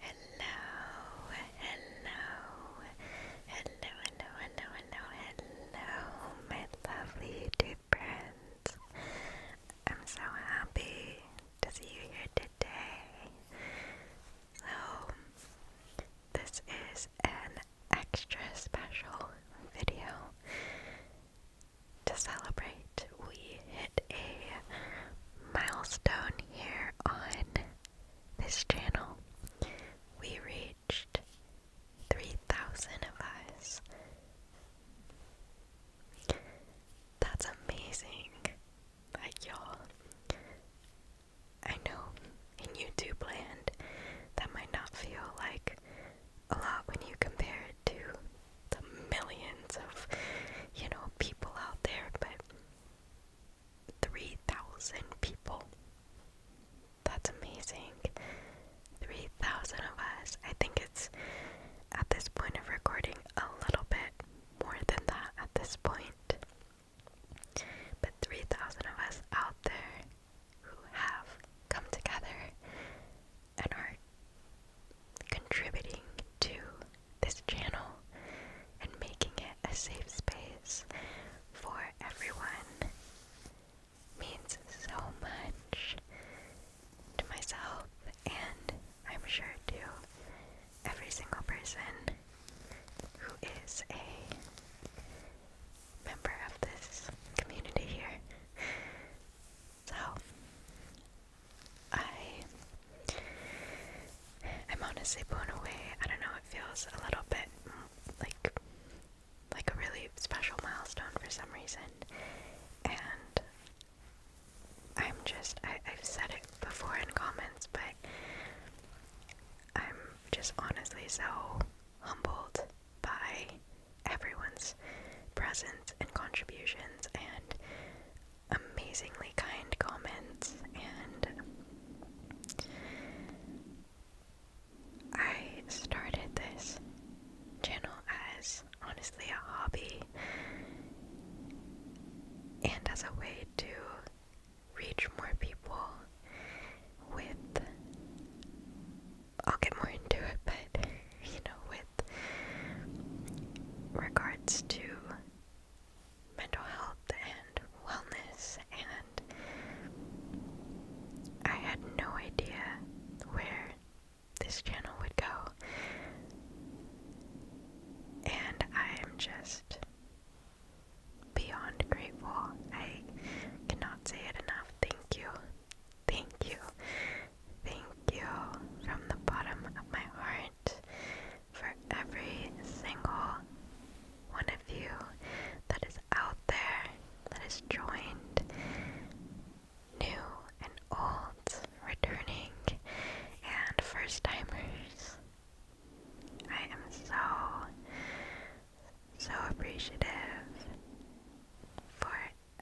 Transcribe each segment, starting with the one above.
Hello, hello, hello, hello, hello, hello, my lovely YouTube friends. I'm so happy to see you here today. So, this is an extra special video to celebrate, we hit a milestone here on this channel. We reached 3,000 of us. That's amazing. Like, y'all. I know in YouTube land that might not feel like a lot when you compare it to the millions of, you know, people out there, but 3,000 people. That's amazing. 3,000 of us. I think it's at this point of recording a little bit more than that at this point. But 3,000 of us out there who have come together and are contributing to this channel and making it a safe space for everyone means so much to myself and I'm sure to every single person who is a member of this community here. So I I'm honestly blown away. I don't know, it feels a little bit mm, like like a really special milestone for some reason. And I'm just I, have said it before in comments, but I'm just honestly so humbled by everyone's presence and contributions and amazingly kind comments, and I started this channel as honestly a hobby and as a way to reach more people with. I'll get more into it, but you know, with regards to mental health and wellness, and I had no idea where this channel would go, and I am just beyond grateful. I cannot say it enough. Thank you. Thank you. Thank you from the bottom of my heart for every single one of you that is out there, that is joined, new and old, returning, and first timers. I am so, so appreciative for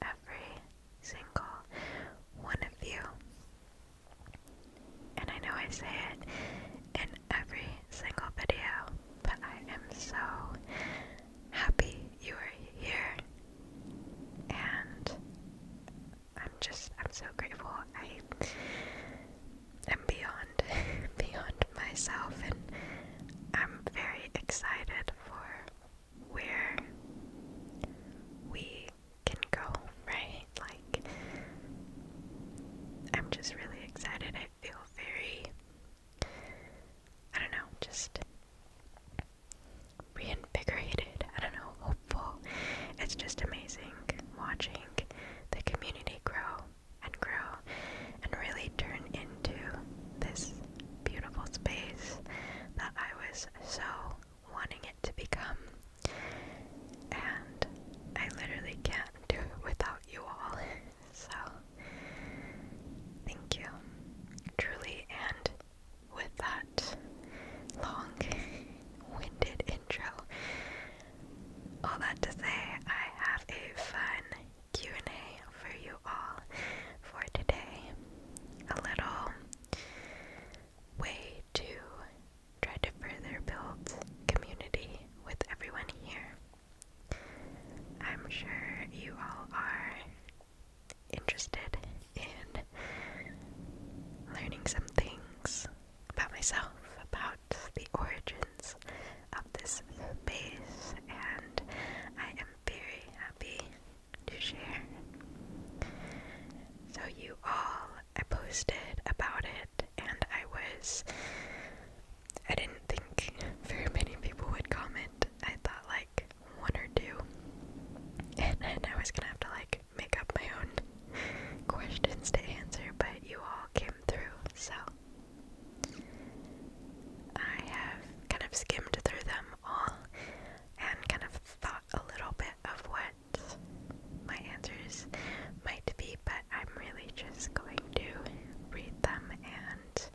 every single one of you. And I know I say it in every single video, but I am so happy you are here. And I'm just, I'm so grateful. I am beyond, beyond myself, and I'm very excited for where we can go, right? Like, I'm just really excited. I feel very, I don't know, just reinvigorated. I don't know, hopeful. It's just amazing watching the community grow and grow and really turn into this beautiful space that I was so wanting it to become. And I literally can't do it without you all. so, thank you. Truly, and with that long winded intro, all that to say, I have a fun Q&A for you all for today. A little way to try to further build community with everyone here. I'm sure you all are interested in learning some things about myself, about the origins of this base, and I am very happy to share. So, you all, I posted about it, and I was. I didn't think very many people would comment. I thought like one or two. And I was gonna have to like make up my own questions to answer, but you all came through, so I have kind of skimmed through them all and kind of thought a little bit of what my answers might be, but I'm really just going to read them and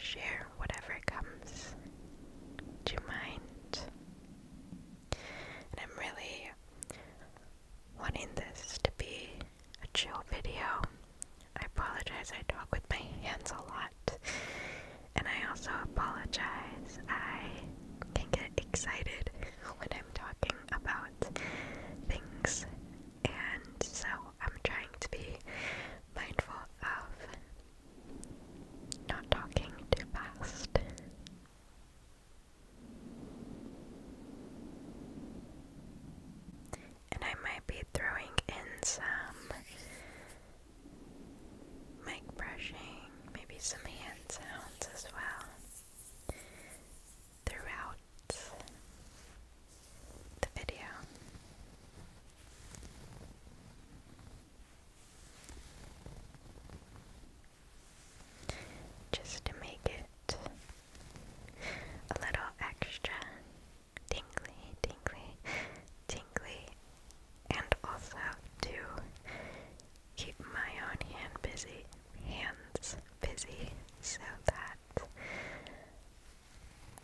share whatever comes Do you mind. I'm really wanting this to be a chill video. I apologize, I talk with my hands a lot. And I also apologize. I can get excited when I'm talking about things. And so I'm trying to be mindful of not talking too fast. And I might be throwing in some mic brushing, maybe some hand sounds as well throughout the video. Just to make it a little extra tingly, tingly, tingly and also to keep my own hand busy hands busy so that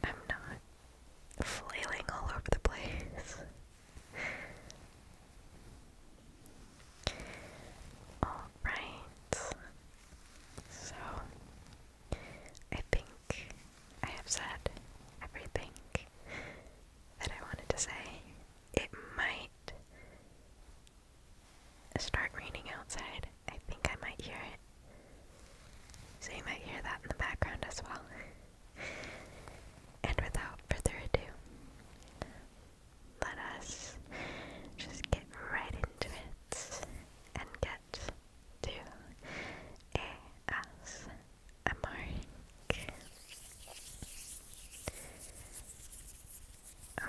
I'm not flailing all over the place. Alright, so I think I have said everything that I wanted to say it might start raining outside. I think I might hear it. So you might hear that in the background as well. and without further ado, let us just get right into it and get to ASMR.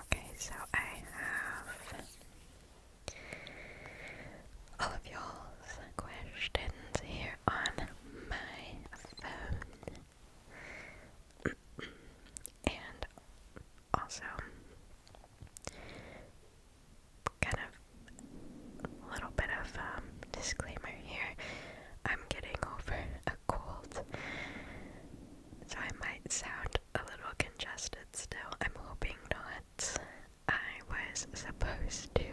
Okay, so I have all of y'all's questions here on my phone. and also kind of a little bit of um disclaimer here. I'm getting over cold. So I might sound a little congested still. I'm hoping not. I was supposed to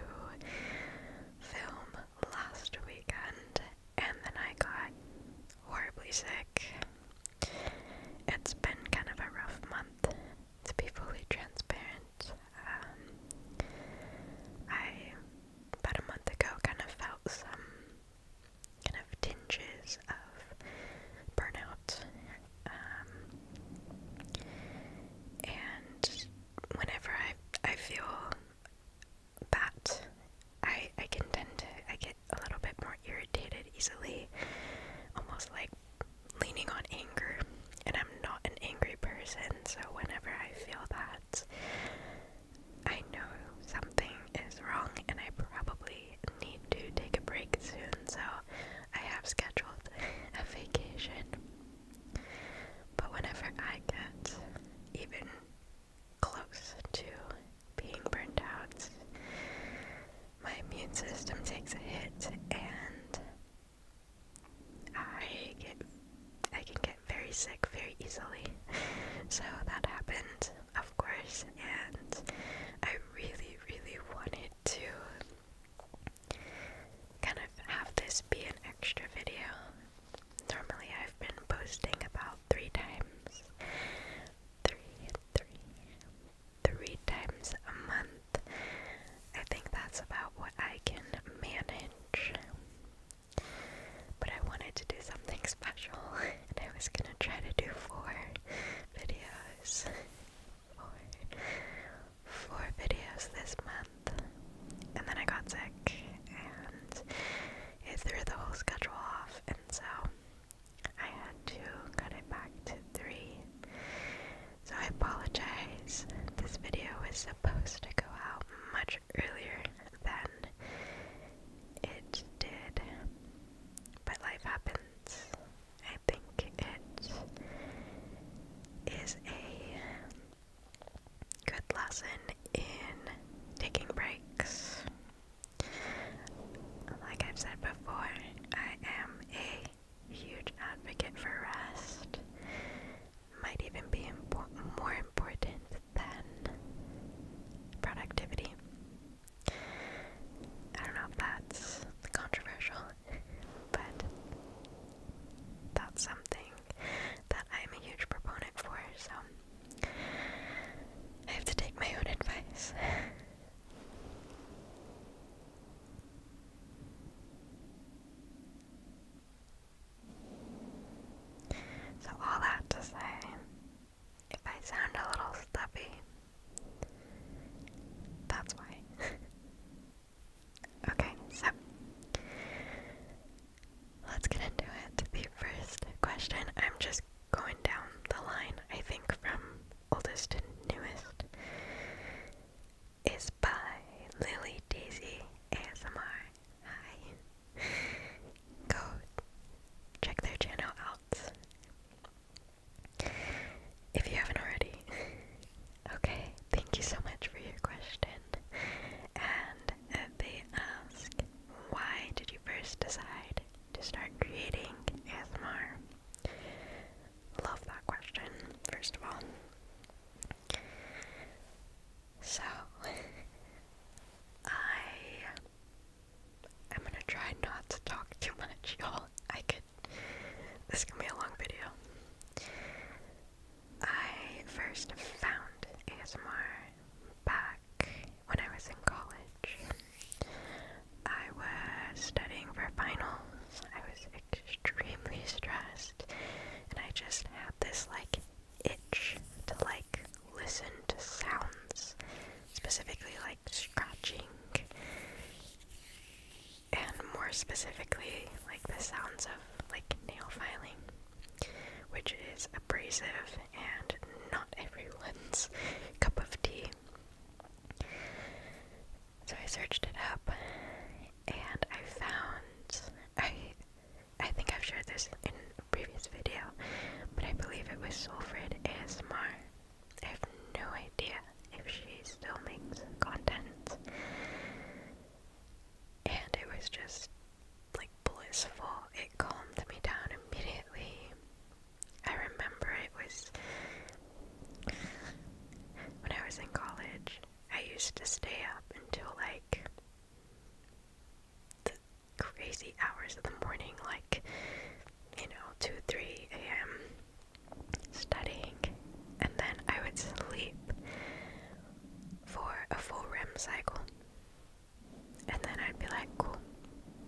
film last weekend and then I got horribly sick. It's been kind of a rough month to be fully transparent. Um, I about a month ago kind of felt some kind of tinges of burnout. Um, and whenever I I feel that I I can tend to I get a little bit more irritated easily, almost like leaning on anger. And I'm not an angry person, so whenever I feel that, I know something is wrong and I probably need to take a break soon, so I have scheduled a vacation. But whenever I get even close to being burnt out, my immune system takes a hit and I get I can get very sick very easily. So that happened, of course, and I really, really wanted to kind of have this be an extra video. Normally, I've been posting about three times, three, three, three times a month. I think that's about what I can manage. But I wanted to do something special, and I was gonna try to do four videos. Four, four videos this month. And then I got sick, and it threw the whole schedule off, and so I had to cut it back to three. So I apologize. This video was supposed to go out much earlier than it did. But life happens. I think it is a good lesson in taking breaks. Like I've said before, I am a huge advocate for rest. Might even be impor more important than productivity. I don't know if that's controversial, but that's something that I'm a huge proponent for, so I have to take my own advice. So, all that to say, if I sound a little stuffy, that's why. okay, so let's get into it. The first question, I'm just going down the line, I think, from oldest to newest, is by Lily Daisy ASMR. Hi go check their channel out if you haven't already. Okay, thank you so much for your question. And uh, they ask, why did you first decide to start creating ASMR? Love that question, first of all. So I I'm gonna try not to talk too much, y'all. I could this can be a long video. I first found ASMR back when I was in college. I was studying for finals. I was extremely stressed and I just had this like itch to like listen to sounds, specifically like scratching, and more specifically, like the sounds of like nail filing, which is abrasive and not everyone's cup of tea. So I searched it up and I found I I think I've shared this in a previous video, but I believe it was Sulfred ASMR. I have no idea if she still makes content. And it was just like blissful. It calmed me down immediately. I remember it was when I was in college. I used to stay up until like crazy hours of the morning, like, you know, 2 3 a.m. studying, and then I would sleep for a full REM cycle. And then I'd be like, cool,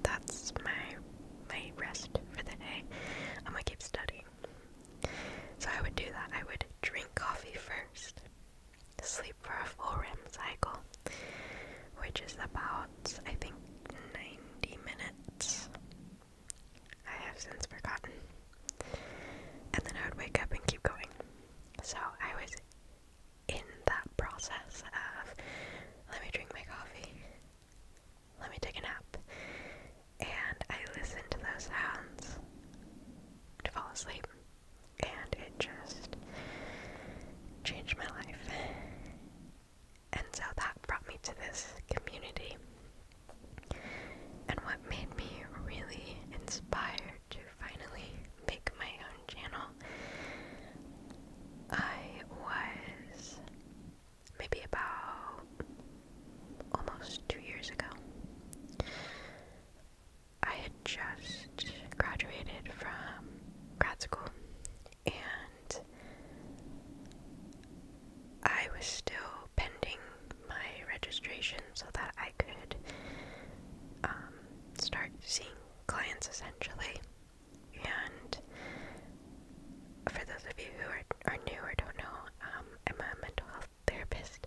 that's my my rest for the day. I'm gonna keep studying. So I would do that. I would drink coffee first sleep for a full REM cycle, which is about, I think, 90 minutes. I have since forgotten. And then I would wake up and keep going. So I was in that process of let me drink my coffee, let me take a nap. And I listened to those sounds to fall asleep and it just changed my life. And so that brought me to this community. And what made me really inspired to finally make my own channel, I was maybe about almost two years ago. I had just college, graduated from grad school, and I was still pending my registration so that I could um, start seeing clients essentially. And for those of you who are, are new or don't know, um, I'm a mental health therapist.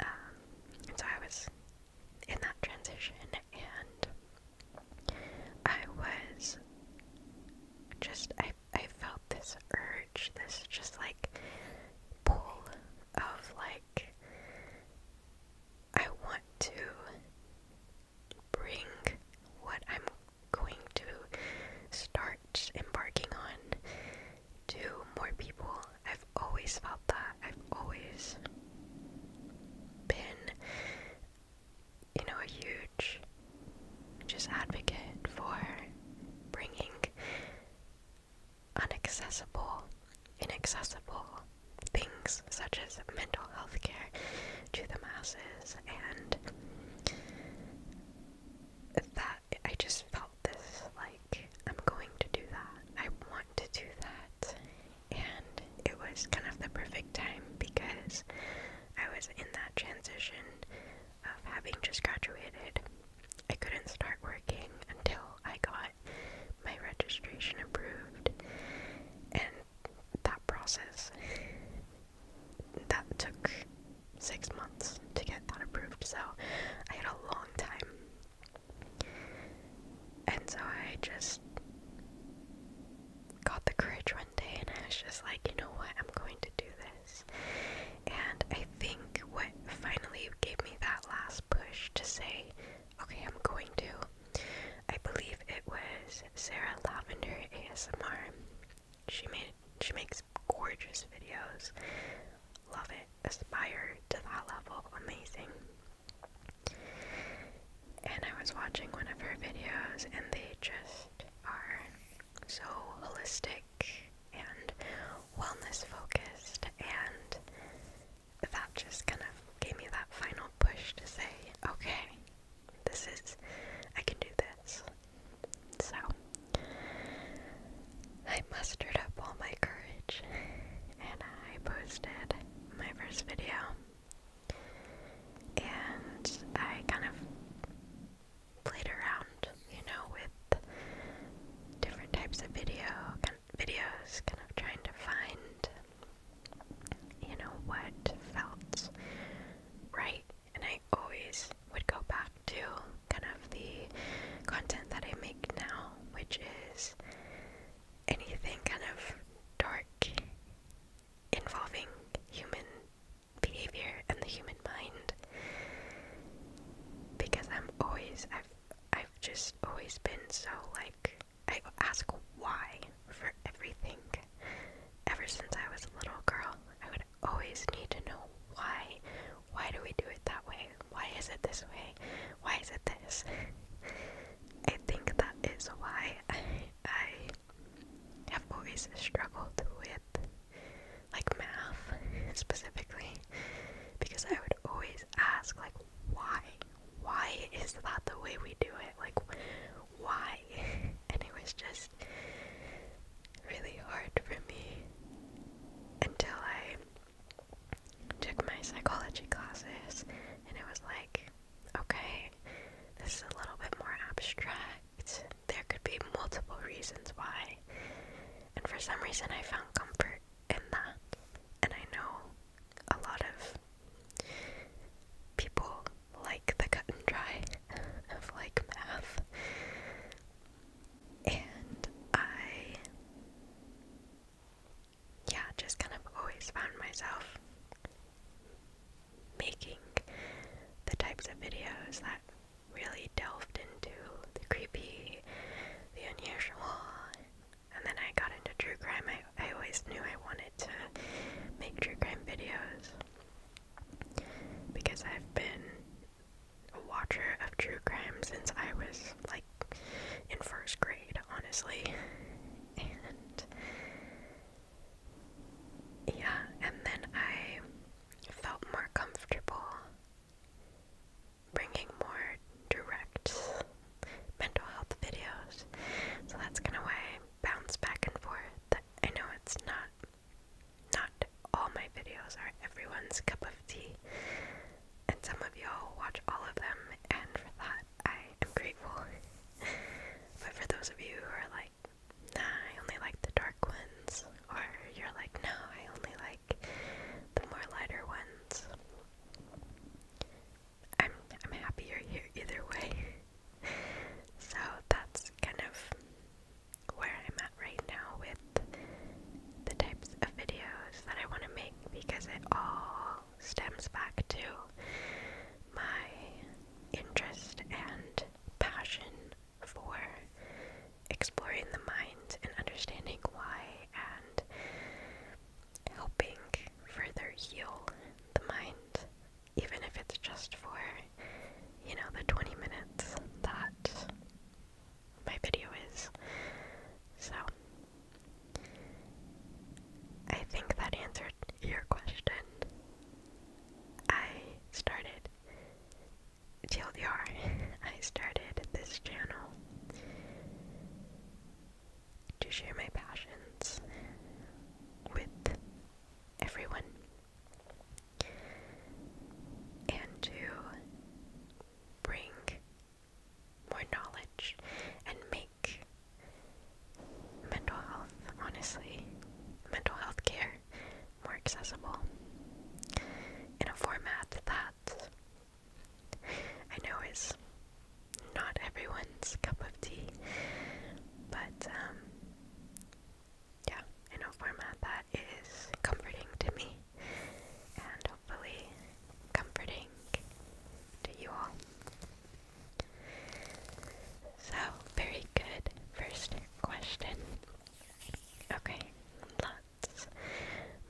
and um, so I was in that transition, and I was just I I felt this urge, this just like pull of like I want to bring what I'm going to start embarking on to more people. I've always felt that. I've always been, you know, a huge just advocate for bringing unaccessible, inaccessible things such as mental health care to the masses and that I just felt this like I'm going to do that. I want to do that and it was kind of the perfect time because I was in that transition of having just graduated. I couldn't start working until I got my registration approved, and that process that took six months to get that approved, so I had a long time. And so I just got the courage one day and I was just like, you know what, I'm going to do this. And I think what finally gave me that last push to say, okay, I'm going to, I believe it was Sarah Lavender ASMR. She made she makes gorgeous videos. Love it. Aspire to that level. Amazing. And I was watching one of her videos, and they just are so holistic and wellness focused, and that just kind of gave me that final push to say, okay, this is, I can do this. So, I mustered up all my courage and I posted my first video and I kind of played around, you know, with different types of videos, kind of trying to find, you know, what felt right. And I always would go back to kind of the content that I make now, which is anything kind of dark involving human behavior and the human mind because I'm always I've I've just always been so like I ask why for everything. Ever since I was a little girl, I would always need to know why. Why do we do it that way? Why is it this way? Why is it this? I think that is why I have always struggled with, like math specifically, because I would always ask, like, why? Why is that the way we do it? Like, why? And it was just really hard for me until I took my psychology classes, and it was like, okay? This is a little bit more abstract. There could be multiple reasons why. And for some reason, I found comfort in that. And I know a lot of people like the cut and dry of like math. And I yeah, just kind of always found myself making the types of videos that really delved into the creepy, the unusual, and then I got into true crime. I, I always knew I wanted to make true crime videos because I've been a watcher of true crime since I was like in first grade, honestly. And yeah, and then I felt more comfortable bringing more direct mental health videos. So that's gonna why bounce back and forth. I know it's not not all my videos are everyone's cup of tea. And some of y'all watch all of them and for that I am grateful. but for those of you who are like, I only like the dark ones, or you're like, no, I only like the more lighter ones. I'm I'm happy you're here either way. so that's kind of where I'm at right now with the types of videos that I want to make because it all stems back to my interest and passion for exploring the mind and understanding why and helping further heal the mind, even if it's just for, you know, the 20 minutes that my video is. So, I think that answered answered your question. I started TLDR. I started this channel to share my passions with everyone and to bring more knowledge and make mental health, honestly, mental health care more accessible in a format that I know is not everyone's cup of tea, but um, yeah, in a format that is comforting to me and hopefully comforting to you all. So, very good first question. Okay, let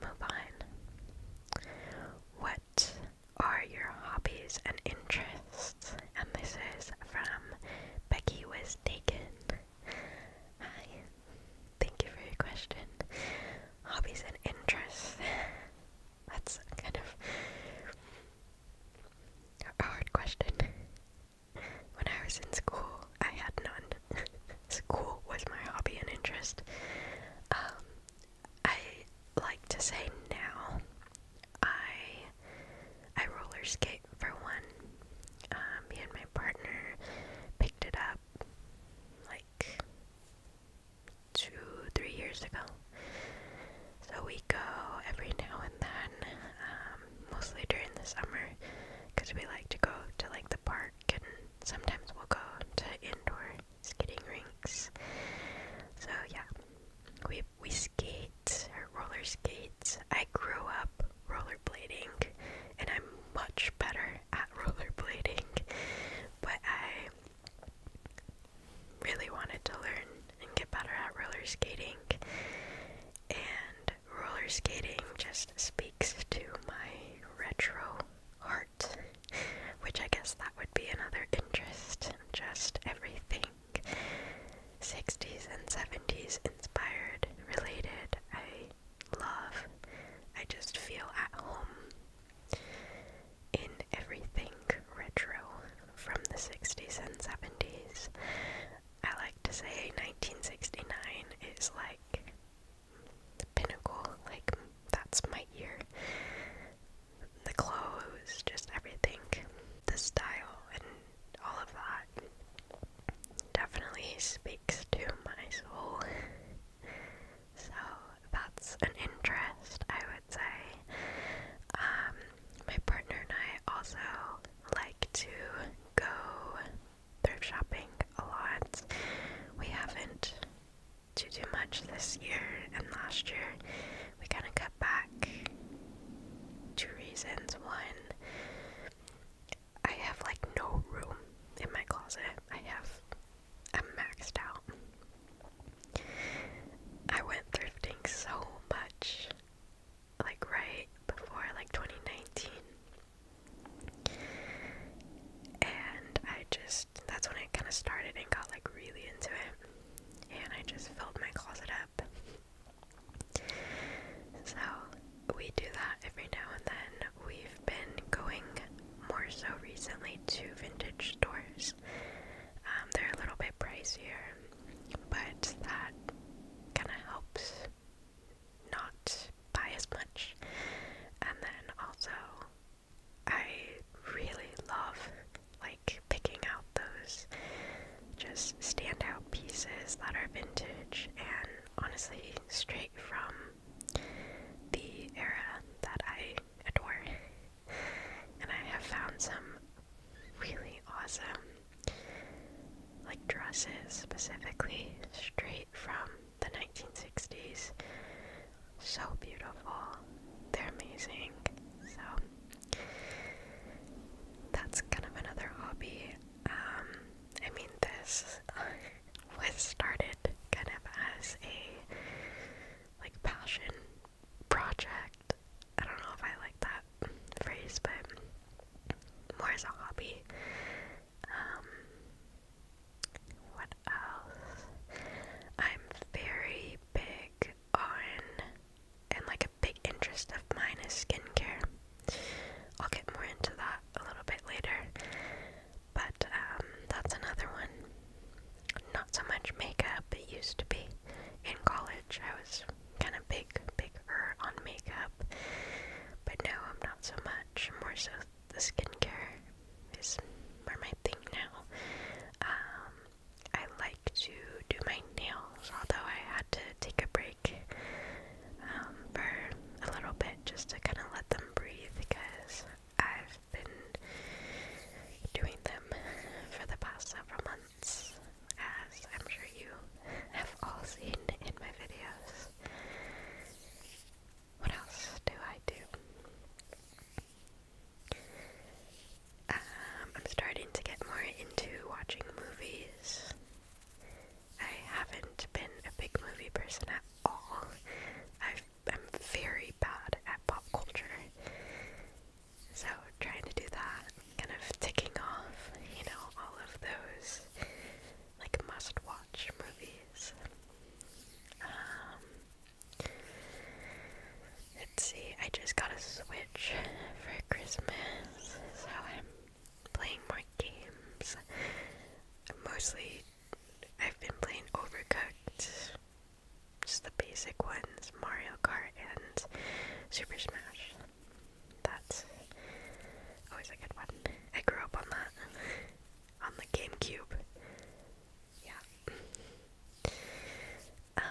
move on. What are your hobbies and interests? And this is from Becky Was Taken. Hi, thank you for your question. Hobbies and interests. That's kind of a hard question. When I was in school, I had none. school was my hobby and interest. Um, I like to say now, I I roller skate for one. Um, me and my partner picked it up like two, three years ago. So we go every now and then, um, mostly during the summer, because we like to go to like the park and sometimes we'll go to indoor skating rinks. So yeah, we we skate or roller skates. I grew up rollerblading, and I'm much better at rollerblading, but I really wanted to learn and get better at roller skating. And roller skating just speaks to my retro heart, which I guess that would be another interest. Just everything 60s and 70s inspired, related. I love. I just feel at home in everything retro from the 60s and 70s. I like to say 1969 is like the pinnacle, like that's my year. The clothes, just everything, the style, and all of that definitely speaks to my soul. So that's an interest, I would say. Um, my partner and I also like to go thrift shopping a lot. We haven't to do much this year and last year. We kind of cut back. Two reasons. One, I have like no room in my closet. I have, I'm maxed out. I went thrifting so much like right before like 2019. And I just that's when I kind of started and got like really into it. And I just filled my closet up. So we do that every now and then. We've been going more so recently to vintage stores um, they're a little bit pricier, but that kind of helps not buy as much. And then also, I really love like picking out those just standout pieces that are vintage and honestly straight from the era that I adore. And I have found some really awesome like dresses specifically straight from the 1960s so beautiful they're amazing so that's kind of another hobby um i mean this was started kind of as a like passion project. I don't know if I like that phrase, but more as a hobby. Um, what else? I'm very big on, and like a big interest of mine is skincare. I'll get more into that a little bit later, but um, that's another one. Not so much makeup, it used to be in college I was kind of big, bigger on makeup, but no, I'm not so much. More so, the skincare is more my thing now. Um, I like to do my nails, although I had to take a break um, for a little bit just to kind of let them breathe because I've been doing them for the past several months as I'm sure you have all seen in my videos. What else do I do? Um, I'm starting to get more into watching movies. I haven't been a big movie person at all. I'm very bad at pop culture. So trying to do that, kind of ticking off, you know, all of those like must-watch movies. Um, let's see. I just got a Switch for Christmas, so I'm playing more games. Mostly, I've been playing Overcooked, just the basic ones, Mario Kart and Super Smash. That's always a good one. I grew up on that. on the GameCube. Yeah. Um,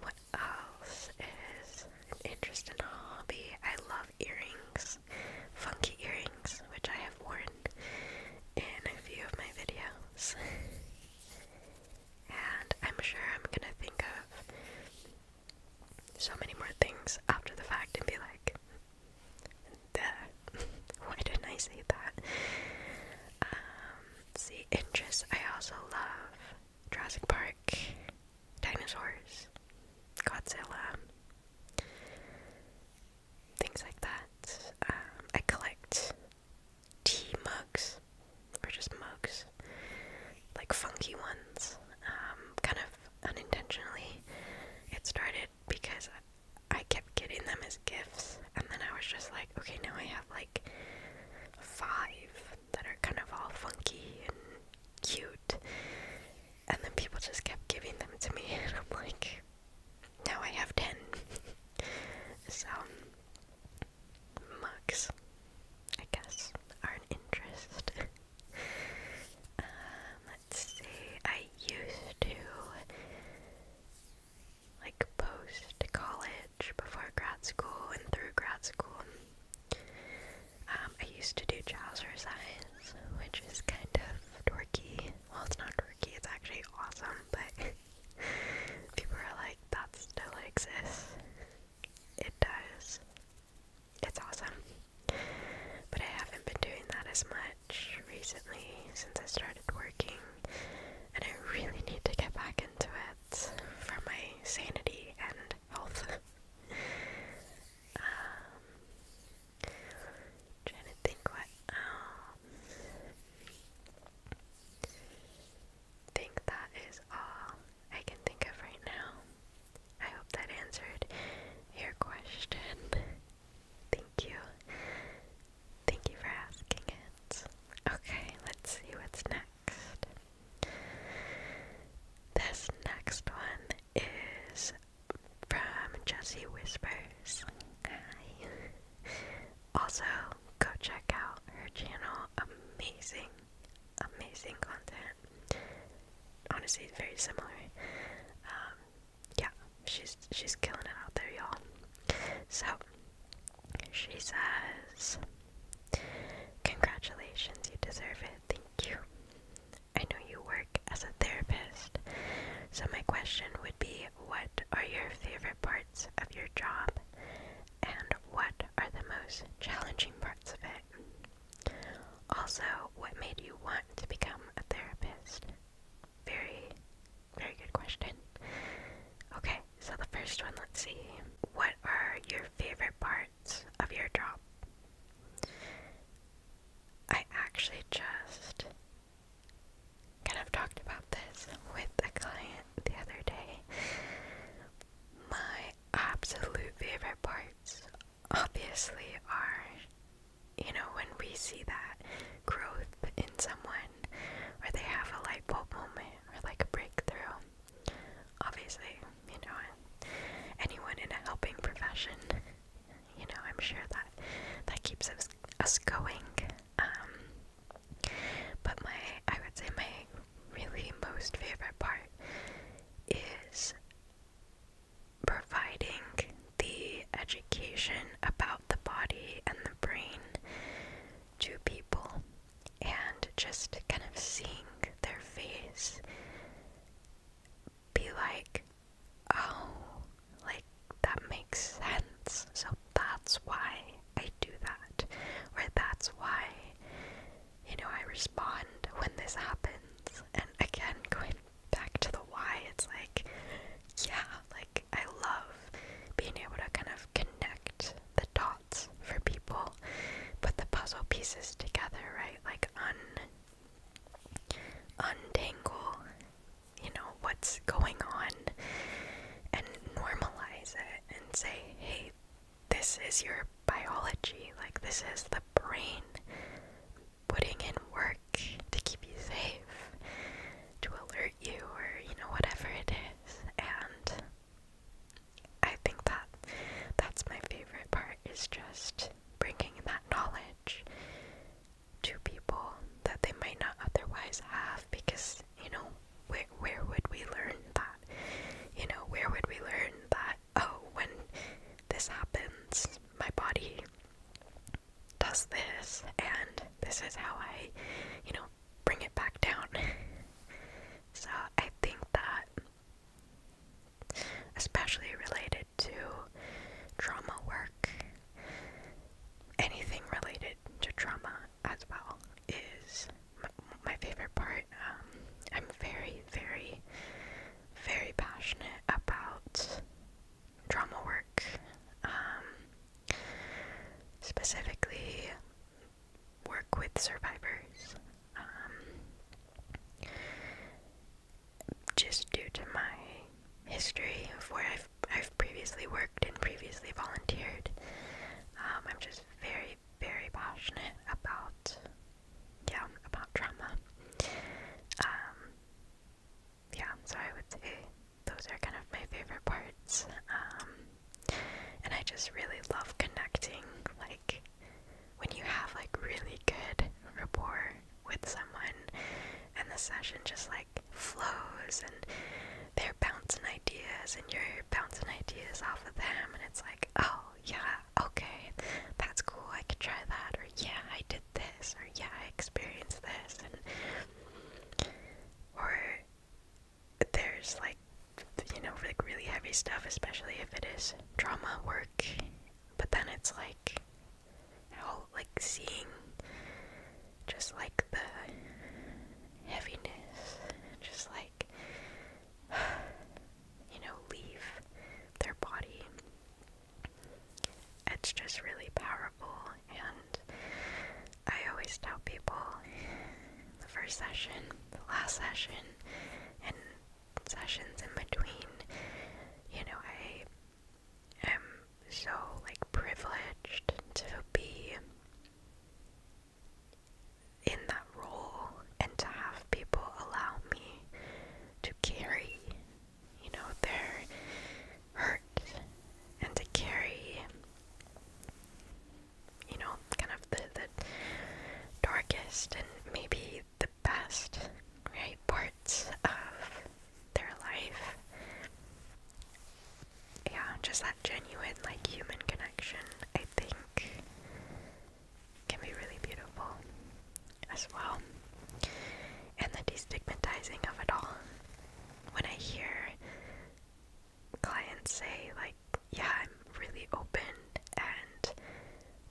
what else is an interest and hobby? I love earrings. Funky earrings, which I have worn in a few of my videos. and I'm sure I'm gonna think of so many more things after the fact and be like, Duh. why didn't I say that? Um, see, interests. I also love Jurassic Park, dinosaurs, Godzilla, things like that. Um, I collect tea mugs mugs, or just mugs, like funky ones, um, kind of unintentionally. It started because I kept getting them as gifts, and then I was just like, okay, now I have like five that are kind of all funky and cute, and then people just kept giving them to me, and I'm like, now I have ten. so mugs, I guess, are an interest. um, let's see, I used to like post college before grad school and through grad school. Um, I used to do trouser size, which is kind of dorky. Well, it's not dorky, it's actually awesome, but people are like, that still exists it does. It's awesome. But I haven't been doing that as much recently since I started working, and I really need to get back into it for my sanity and health. Um, trying to think what um, Think that is all. I can think of right now. I hope that answered your question. Thank you. Thank you for asking it. Okay, let's see what's next. This next one is from Jessie Whispers. Hi. Also, go check out her channel. Amazing, amazing content but honestly, very similar. Um, yeah, she's she's killing it out there, y'all. So she says, "Congratulations, you deserve it. Thank you. I know you work as a therapist, so my question would be, what are your favorite parts of your job, and what are the most challenging parts of it?" Also, what made you want to become a therapist? Very, very good question. Okay, so the first one, let's see. What are your favorite parts of your job? I actually just kind of talked about this with a client the other day. My absolute favorite parts obviously are you know when we see that growth in someone or they have a light bulb moment or like a breakthrough obviously you know anyone in a helping profession you know i'm sure that that keeps us us going um but my i would say my really most favorite part is providing the education about the body and the brain to people and just kind of seeing their face be like, oh, like that makes sense. So that's why I do that, or that's why you know, I respond when this happens. And again, going back to the why, it's like, yeah, like I love being able to kind of connect the dots for people, put the puzzle pieces together, right? Like un untangle, you know, what's going on and normalize it and say, hey, this is your biology, like, this is the brain putting in work to keep you safe, to alert you, or you know, whatever it is. And I think that that's my favorite part is just bringing that knowledge to people that they might not otherwise have because you know where where would we learn that you know where would we learn that oh, when this happens, my body does this, and this is how I, you know, bring it back down. so I think that, especially related to trauma work, anything related to trauma as well is my, favorite part. Um, I'm very, very very passionate about drama work, um, specifically work with survivors. Um, just due to my history of where I've I've previously worked and previously volunteered, um, I'm just very very passionate about yeah, about trauma. Um, yeah, so I would say those are kind of my favorite parts. Um, and I just really love connecting. Like, when you have like really good rapport with someone, and the session just like flows, and they're bouncing ideas, and you're bouncing ideas off of them, and it's like, oh yeah, okay, that's cool, I could try that, or yeah, I did this, or yeah, I experienced this, and or there's like you know, like really heavy stuff, especially if it is drama work, but then it's like how like seeing just like the heaviness, just like you know, leave their body. It's just really powerful, and I always tell people the first session, the last session, and sessions in between, you know, I am so like privileged to be in that role and to have people allow me to carry, you know, their hurt and to carry, you know, kind of the, the darkest and maybe the best, right, parts of their life. Yeah, just that genuine, like, human connection, I think, can be really beautiful as well. And the destigmatizing of it all. When I hear clients say, like, yeah, I'm really open and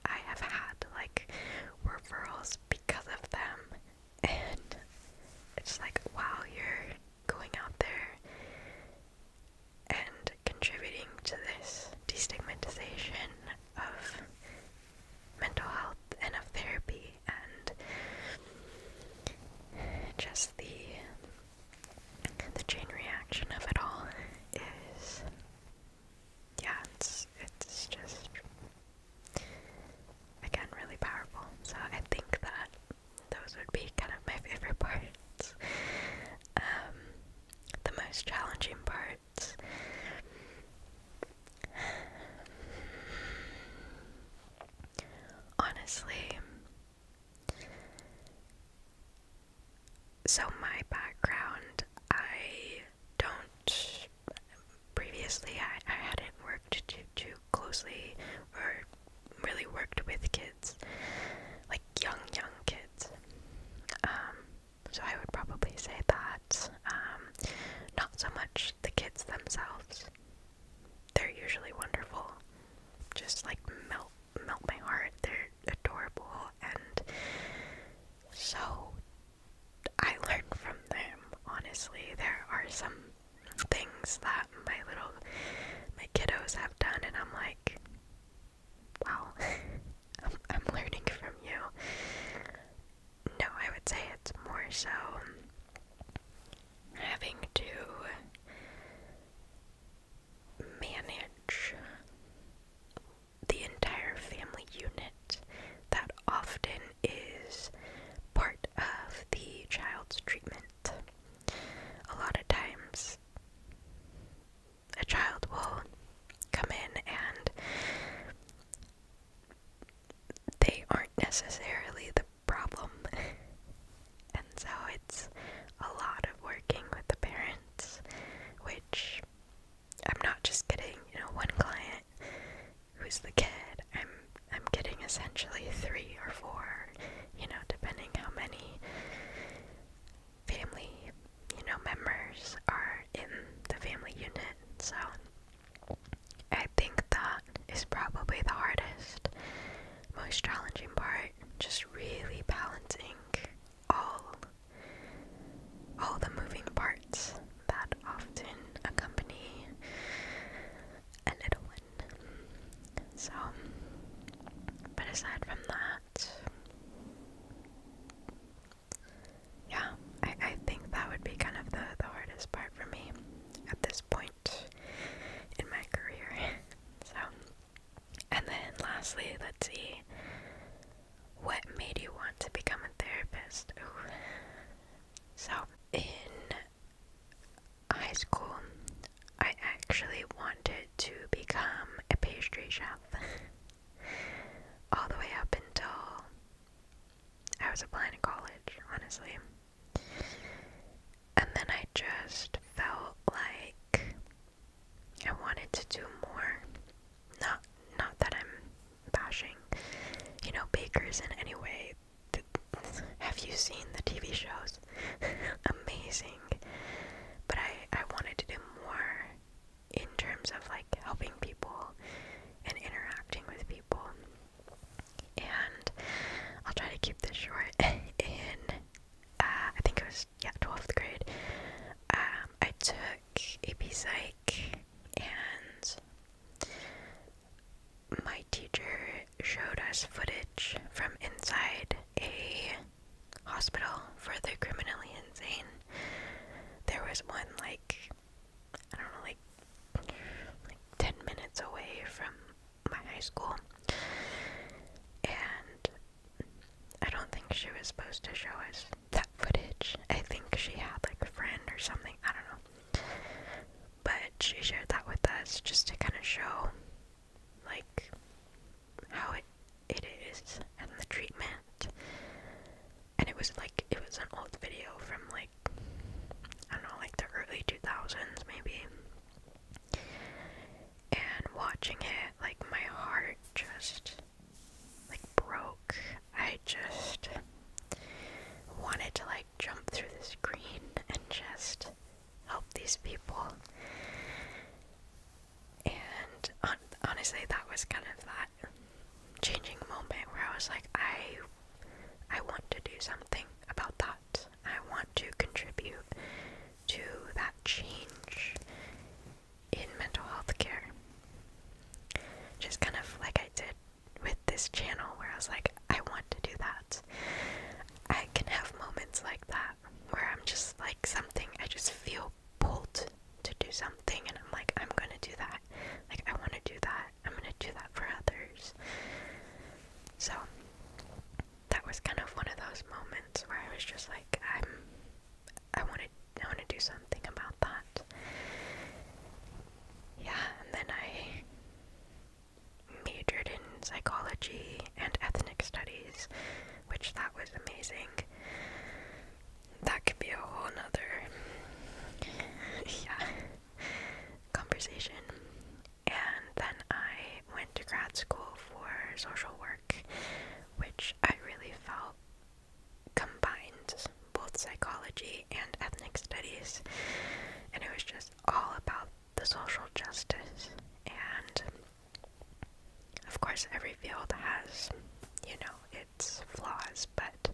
I have had like referrals because of them, and it's like, wow, you're going out there and contributing to this destigmatization of mental health and of therapy and just the the chain reaction of it all is yeah it's it's just again really powerful so I think that those would be kind of my favorite parts um, the most challenging part Honestly, so my background, I don't. Previously, I, I hadn't worked too, too closely or really worked with kids, like young, young kids. Um, so I would probably say that. Um, not so much the kids themselves. They're usually wonderful. Just like melt melt my heart. They're adorable and so I learn from them, honestly. There are some things that my little my kiddos have done and I'm like Wow, I'm learning from you. No, I would say it's more so having to manage the entire family unit that often is part of the child's treatment. A lot of times, a child will come in and they aren't necessarily the problem. and so it's a lot of working with the parents, which I'm not just getting, you know, one client who's the kid. I'm I'm getting essentially three or four, you know, depending how many family you know, members are in the family unit, so I think that is probably the hardest, most challenging part. Just really balancing all all the moving parts that often accompany a little one. So but aside from that yeah, I, I think that would be kind of the, the hardest part for me at this point in my career. so, and then lastly, let's see. What made you want to become a therapist? So, in high school, I actually wanted to become a pastry chef. all the way up until I was applying to college, honestly. And then I just felt like I wanted to do more. Not not that I'm bashing, you know, bakers in any way. have you seen the TV shows? Amazing. But I, I wanted to do more in terms of like helping people and interacting with people. And I'll try to keep this short. in uh, I think it was yeah twelfth grade, um, I took AP Psych, and my teacher showed us footage from inside a hospital for the criminally insane. There was one like I don't know, like ten minutes away from my high school. And I don't think she was supposed to show us that footage. I think she had like a friend or something, I don't know. But she shared that with us just to kind of show like how it it is and the treatment and it was like it was an old video from like I don't know, like the early 2000s maybe. And watching it, like my heart just like broke. I just wanted to like jump through the screen and just help these people. And honestly, that was kind of that changing moment where I was like, I I want to do something about that. I want to contribute to that change in mental health care. Just kind of like I did with this channel where I was like, I want to do that. I can have moments like that where I'm just like something I just feel pulled to do something and I'm like, I'm gonna do that. Like, I wanna do that. I'm gonna do that for others. So, that was kind of one of those moments where I was just like, I'm, I wanna, I wanna do something about that. Yeah, and then I majored in psychology and ethnic studies, which that was amazing that could be a whole nother yeah, conversation. And then I went to grad school for social work, which I really felt combined both psychology and ethnic studies. And it was just all about the social justice. And of course, every field has, you know, flaws, but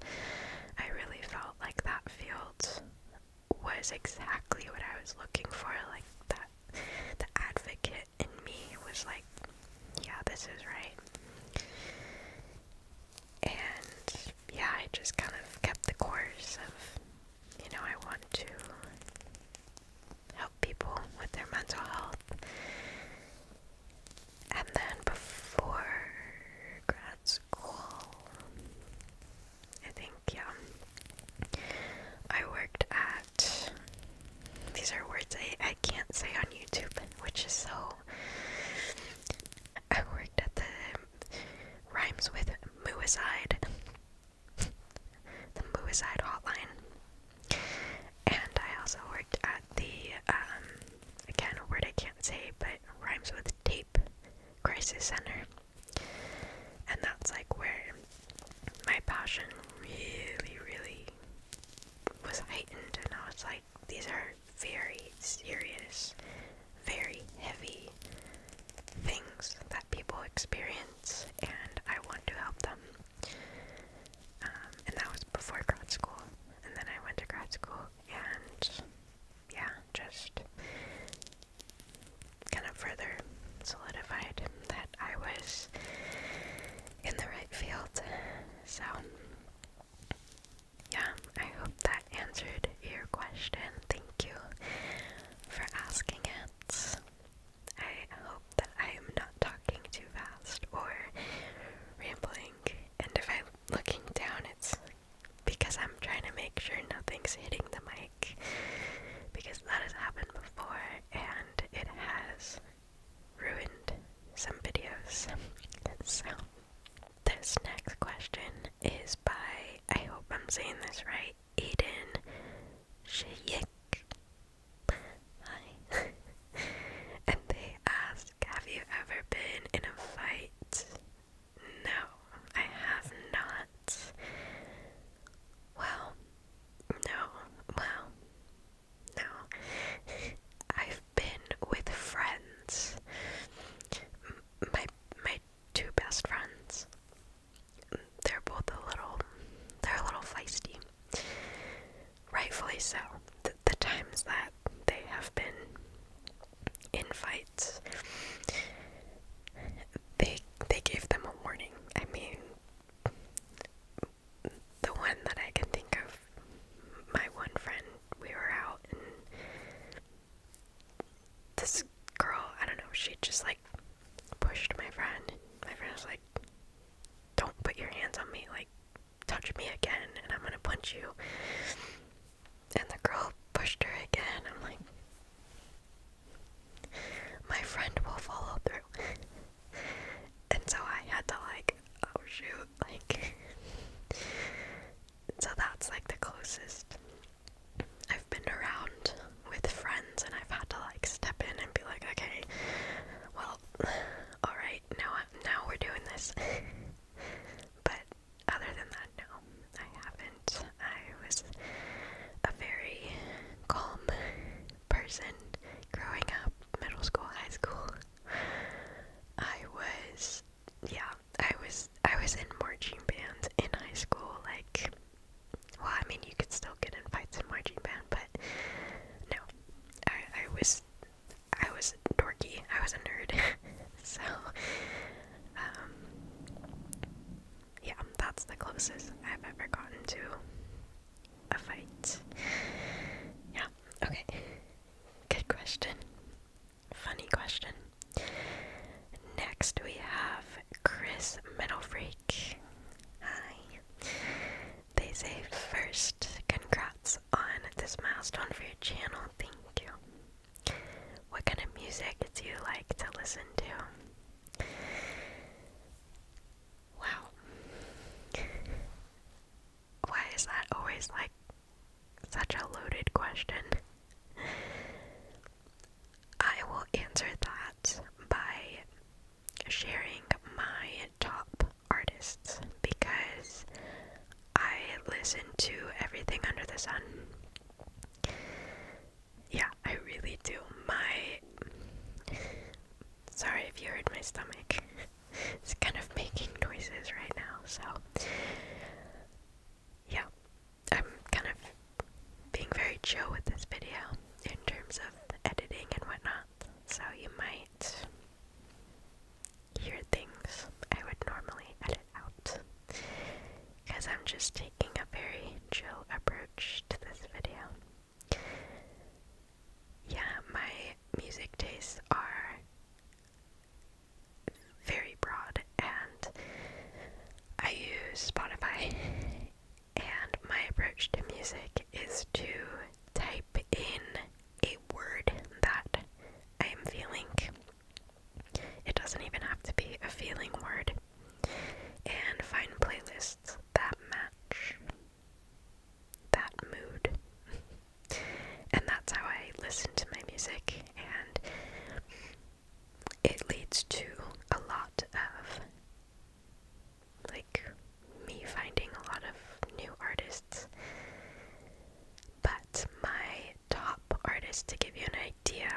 I really felt like that field was exactly what I was looking for. Like that, the advocate in me was like, yeah, this is right. And yeah, I just kind of kept the course of, you know, I want to help people with their mental health and then before grad school, I think, yeah, I worked at. These are words I, I can't say on YouTube, which is so. I worked at the. Rhymes with Muicide. the Muicide Hotline. And I also worked at the um, again, a word I can't say, but rhymes with tape crisis center. And that's like where my passion really, really was heightened. And I was like, these are very serious, very heavy things that people experience, and I want to help them. Um, and that was before grad school. And then I went to grad school, and yeah, just kind of further solidified that I was in the right field. So, yeah, I hope that answered your question. Thank you for asking it. I hope that I am not talking too fast or rambling and if I'm looking down, it's because I'm trying to make sure nothing's hitting the mic. Because that has happened before and it has ruined some videos. so, this next question is by, I hope I'm saying this right, Eden Shayik. Hi. and they asked, have you ever been in a fight? No, I have not. Well, no, well, no. I've been with friends. My my two best friends. They're both a little they're a little feisty. Rightfully so the times that they have been in fights, they they gave them a warning. I mean, the one that I can think of, my one friend, we were out and this girl, I don't know, she just like pushed my friend. My friend was like, "Don't put your hands on me!" Like touch me again and I'm gonna punch you. And the girl pushed her again. I'm like, my friend will follow through. and so I had to, like, oh shoot, like. so that's like the closest I've been around with friends, and I've had to, like, step in and be like, okay, well, alright, now, now we're doing this. but other than that, no, I haven't. I was a very calm person growing up, middle school, high school. I was, yeah, I was, I was in marching bands in high school. Like, well, I mean, you could still get in fights in marching band, but no, I, I was, I was dorky. I was a nerd. so, um, yeah, that's the closest I've ever gotten to a fight. Yeah, okay. Good question. Funny question. Next, we have Chris Metalfreak. Hi. They say, first, congrats on this milestone for your channel. Thank you. What kind of music do you like to listen to? Wow. Why is that always like such a loaded question? I will answer that by sharing my top artists because I listen to everything under the sun. Yeah, I really do. My. Sorry if you heard my stomach. it's kind of making noises right now, so. Yeah, I'm kind of being very chill with this video in terms of editing and whatnot, so you might hear things I would normally edit out. Because I'm just taking a very chill approach to this video. Yeah, my music tastes are very broad, and I use Spotify. And my approach to music is to type in a word that I am feeling it doesn't even have to be a feeling word. And find playlists that match that mood. and that's how I listen to my music, and it leads to a lot of like me finding a lot of new artists. But my top artists to give you an idea.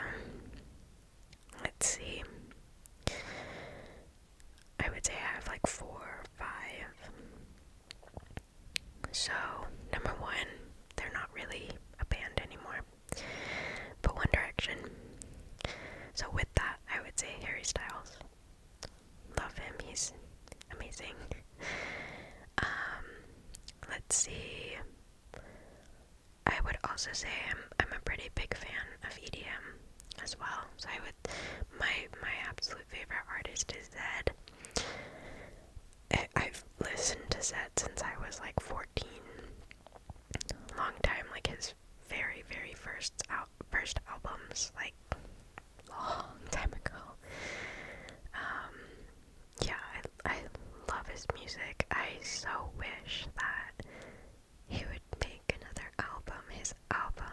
Let's see. I would say I have like four or five. So, number one, they're not really a band anymore, but One Direction. So, with that, I would say Harry Styles. Love him, he's amazing. Um, let's see. I would also say I'm I'm a pretty big fan of EDM as well. So I would my my absolute favorite artist is Zed. I, have listened to Zed since I was like 14. Long time, like his very very first out first albums, like long time ago. Um, yeah, I, I love his music. I so wish that he would make another album, his album,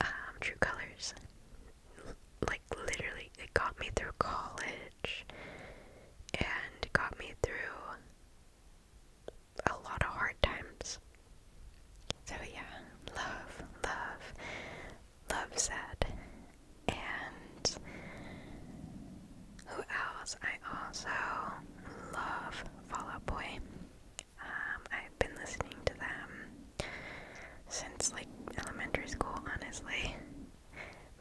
um, True Colors. Like, literally, it got me through college and got me through a lot of hard times. So, yeah, love, love, Love it. And who else? I also love Fall Out Boy. Um, I've been listening to them since like elementary school, honestly.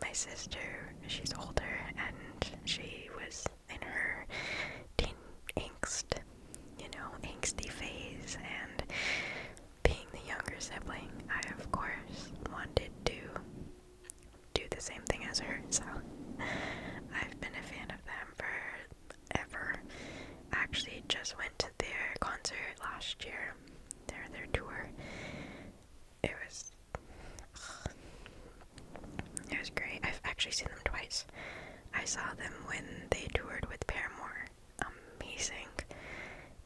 My sister, she's older, and she was in her teen angst, you know, angsty phase, and being the younger sibling, I of course wanted to do the same thing as her, so I've been a fan of them forever. I actually just went to their concert last year, their their tour. It was it was great. I've actually seen them twice. I saw them when they toured with Paramore. Amazing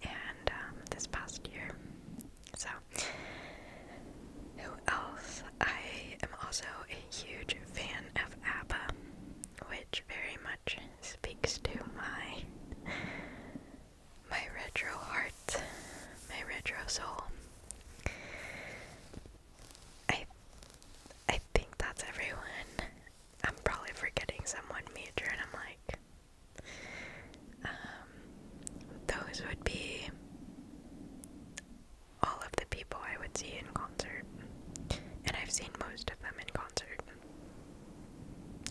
and um, this past year. So, who else? I am also a huge fan of ABBA, which very much speaks to my my retro heart, my retro soul. I I think that's everyone. I'm probably forgetting someone major, and I'm like, um, those would be all of the people I would see in concert, and I've seen most of them in concert.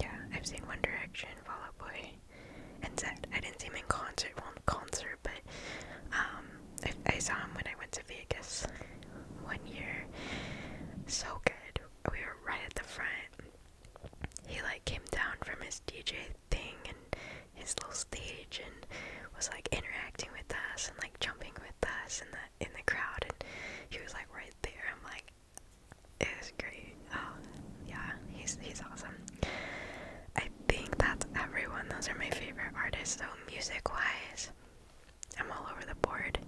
Yeah, I've seen One Direction, Fall Out Boy, and Zed. I didn't see him in concert, well, in concert, but um, I, I saw him when I went to Vegas one year. So good. We were right at the front he like came down from his DJ thing and his little stage and was like interacting with us and like jumping with us in the in the crowd and he was like right there. I'm like it was great. Oh yeah, he's he's awesome. I think that's everyone. Those are my favorite artists So music wise. I'm all over the board.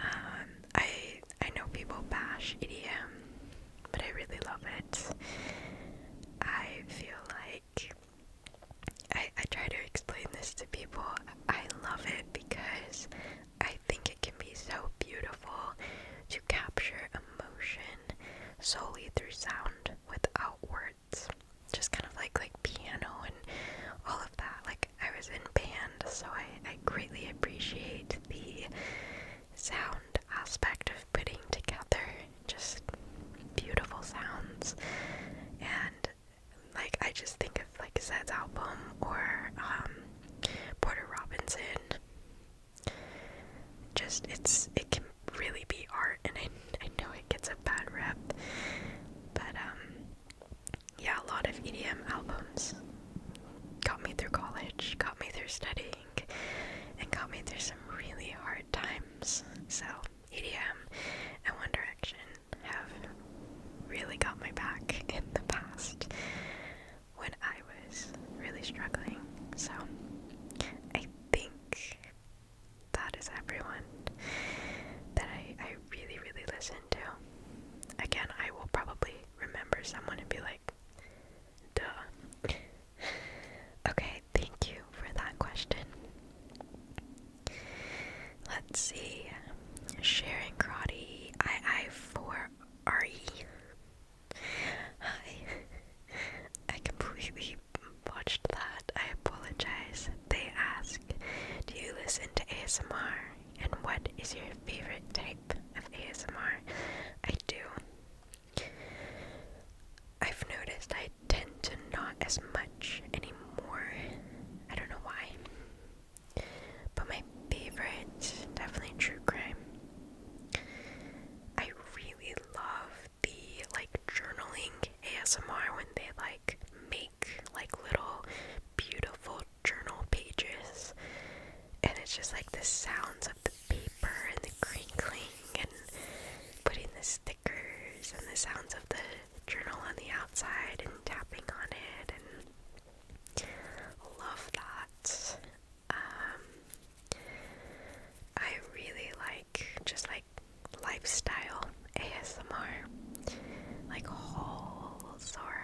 Um, I I know people bash EDM, but I really love it. I feel like I, I try to explain this to people. I love it because I think it can be so beautiful to capture emotion solely through sound without words. Just kind of like like piano and all of that. Like I was in band, so I, I greatly appreciate the sound aspect of putting together just beautiful sounds and like I just think of like Zed's album or um Porter Robinson. Just it's it can really be art and I I know it gets a bad rep. But um yeah, a lot of EDM albums got me through college, got me through studying, and got me through some really hard times. So, EDM and One Direction have really got my back in the past when I was really struggling. So, I think that is everyone that I, I really, really listen to. Again, I will probably remember someone and be like, Duh. Okay, thank you for that question. Let's see. Sharon Crotty, I 4 re Hi. I completely botched that. I apologize. They ask, Do you listen to ASMR? And what is your favorite type? of ASMR I do, I've noticed I tend to not as much anymore. I don't know why. But my favorite, definitely true crime. I really love the like journaling ASMR when they like make like little beautiful journal pages and it's just like the sounds of the paper and the crinkling and putting the stickers and the sounds of the journal on the outside and tapping on it and love that. Um, I really like just like lifestyle ASMR, like hauls or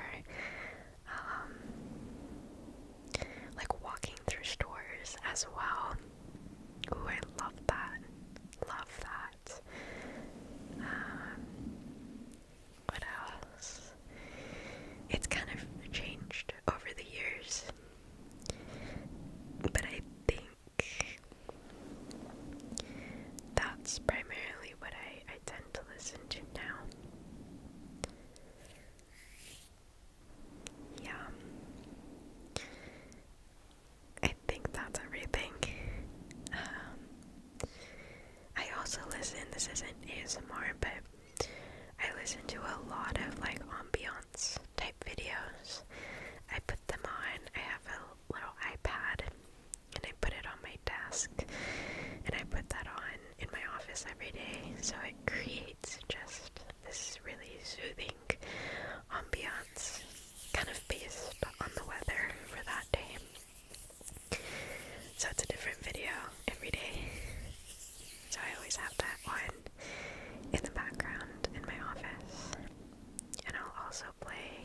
um, like walking through stores as well. Ooh, I love that. Love that. Um, what else? It's kind of changed over the years, but I think that's primarily what I, I tend to listen to now. Yeah. I think that's everything. Um, I also listen, this isn't more, but I listen to a lot of like ambiance type videos. I put them on, I have a little iPad and I put it on my desk and I put that on in my office every day, so it creates just this really soothing ambiance, kind of based on the weather for that day. So it's a different video every day. So I always have that one in the background in my office. And I'll also play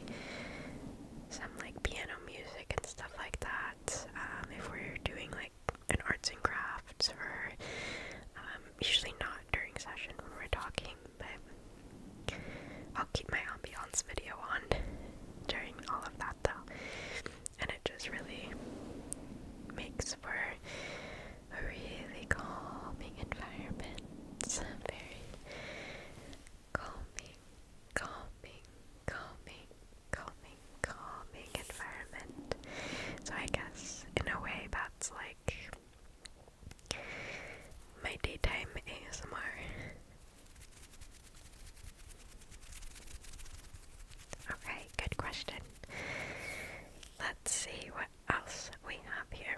some like piano music and stuff like that um, if we're doing like like an arts and crafts or um, usually not during session when we're talking, but I'll keep my ambiance video on during all of that though, and it just really makes for a really calming environment. It's very calming, calming, calming, calming, calming environment. So I guess in a way that's like my daytime ASMR. Okay, good question. Let's see what else we have here.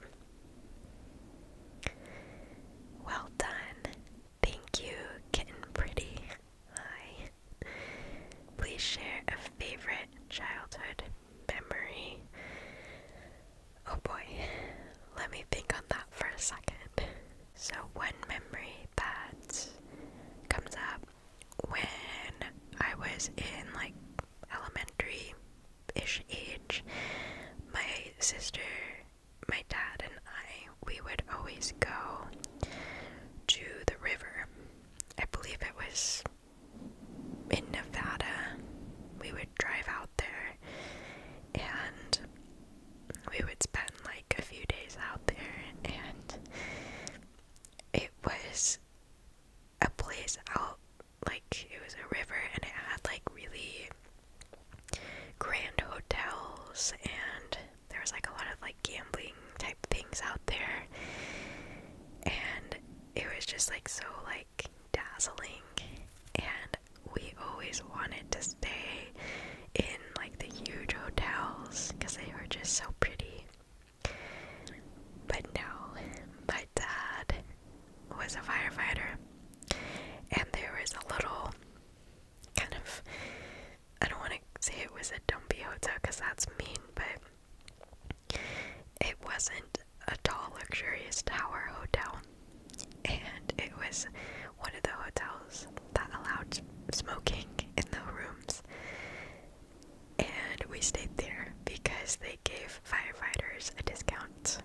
Well done. Thank you, kitten pretty. Hi. Please share a favorite childhood memory. Oh boy, let me think on that for a second. So, one memory that comes up when I was in like elementary ish age, my sister, my dad, and I, we would always go to the river I believe it was in Nevada. We would drive out there and we would spend like a few days out there, and it was a place out like it was a river and it had like really grand hotels and there was like a lot of like gambling type things out there and it was just like so like dazzling and we always wanted to stay in like the huge hotels because they were just so pretty but no my dad was a firefighter and there was a little kind of i don't want to say it was a dumpy hotel because that's mean but it wasn't a tall, luxurious tower hotel, and it was one of the hotels that allowed smoking in the rooms. And we stayed there because they gave firefighters a discount.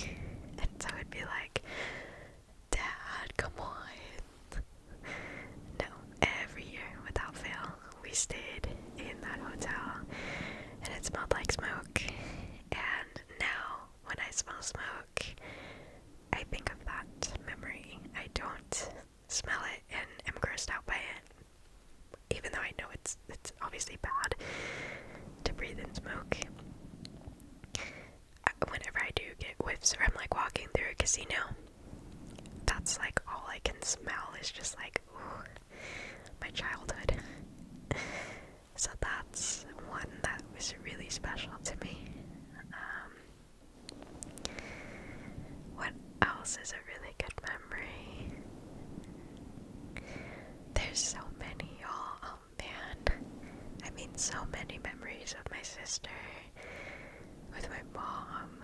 And so it'd be like, Dad, come on, no, every year without fail, we stayed in that hotel and it smelled like smoke. And now, when I smell smoke, I think of that memory. I don't smell it and am grossed out by it, even though I know it's it's obviously bad to breathe in smoke. Whenever I do get whiffs, or I'm like walking through a casino that's like all I can smell is just like, ooh, my childhood. so that's one that was really special to me. Um, what else is a really good memory? There's so many, y'all. Oh man. I mean, so many memories with my sister, with my mom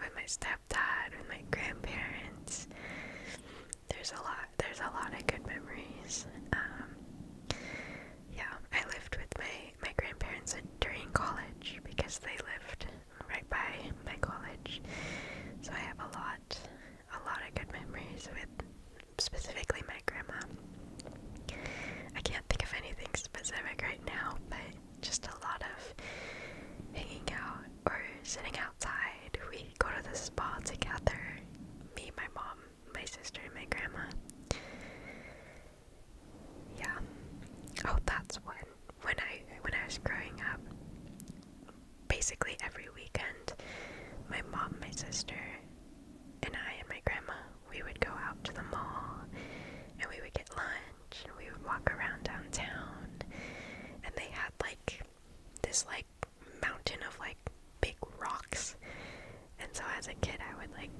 with my stepdad, with my grandparents. There's a lot. There's a lot of good memories. Um, yeah, I lived with my my grandparents during college because they lived right by my college, so I have a lot, a lot of good memories with specifically my grandma. I can't think of anything specific right now, but just a lot of hanging out or sitting outside. We go to the spa together. Me, my mom, my sister, and my grandma. Yeah. Oh, that's when when I when I was growing up. Basically every weekend, my mom, my sister, and I and my grandma, we would go out to the mall and we would get lunch and we would walk around downtown and they had like this like mountain of like big rocks and so as a kid I would like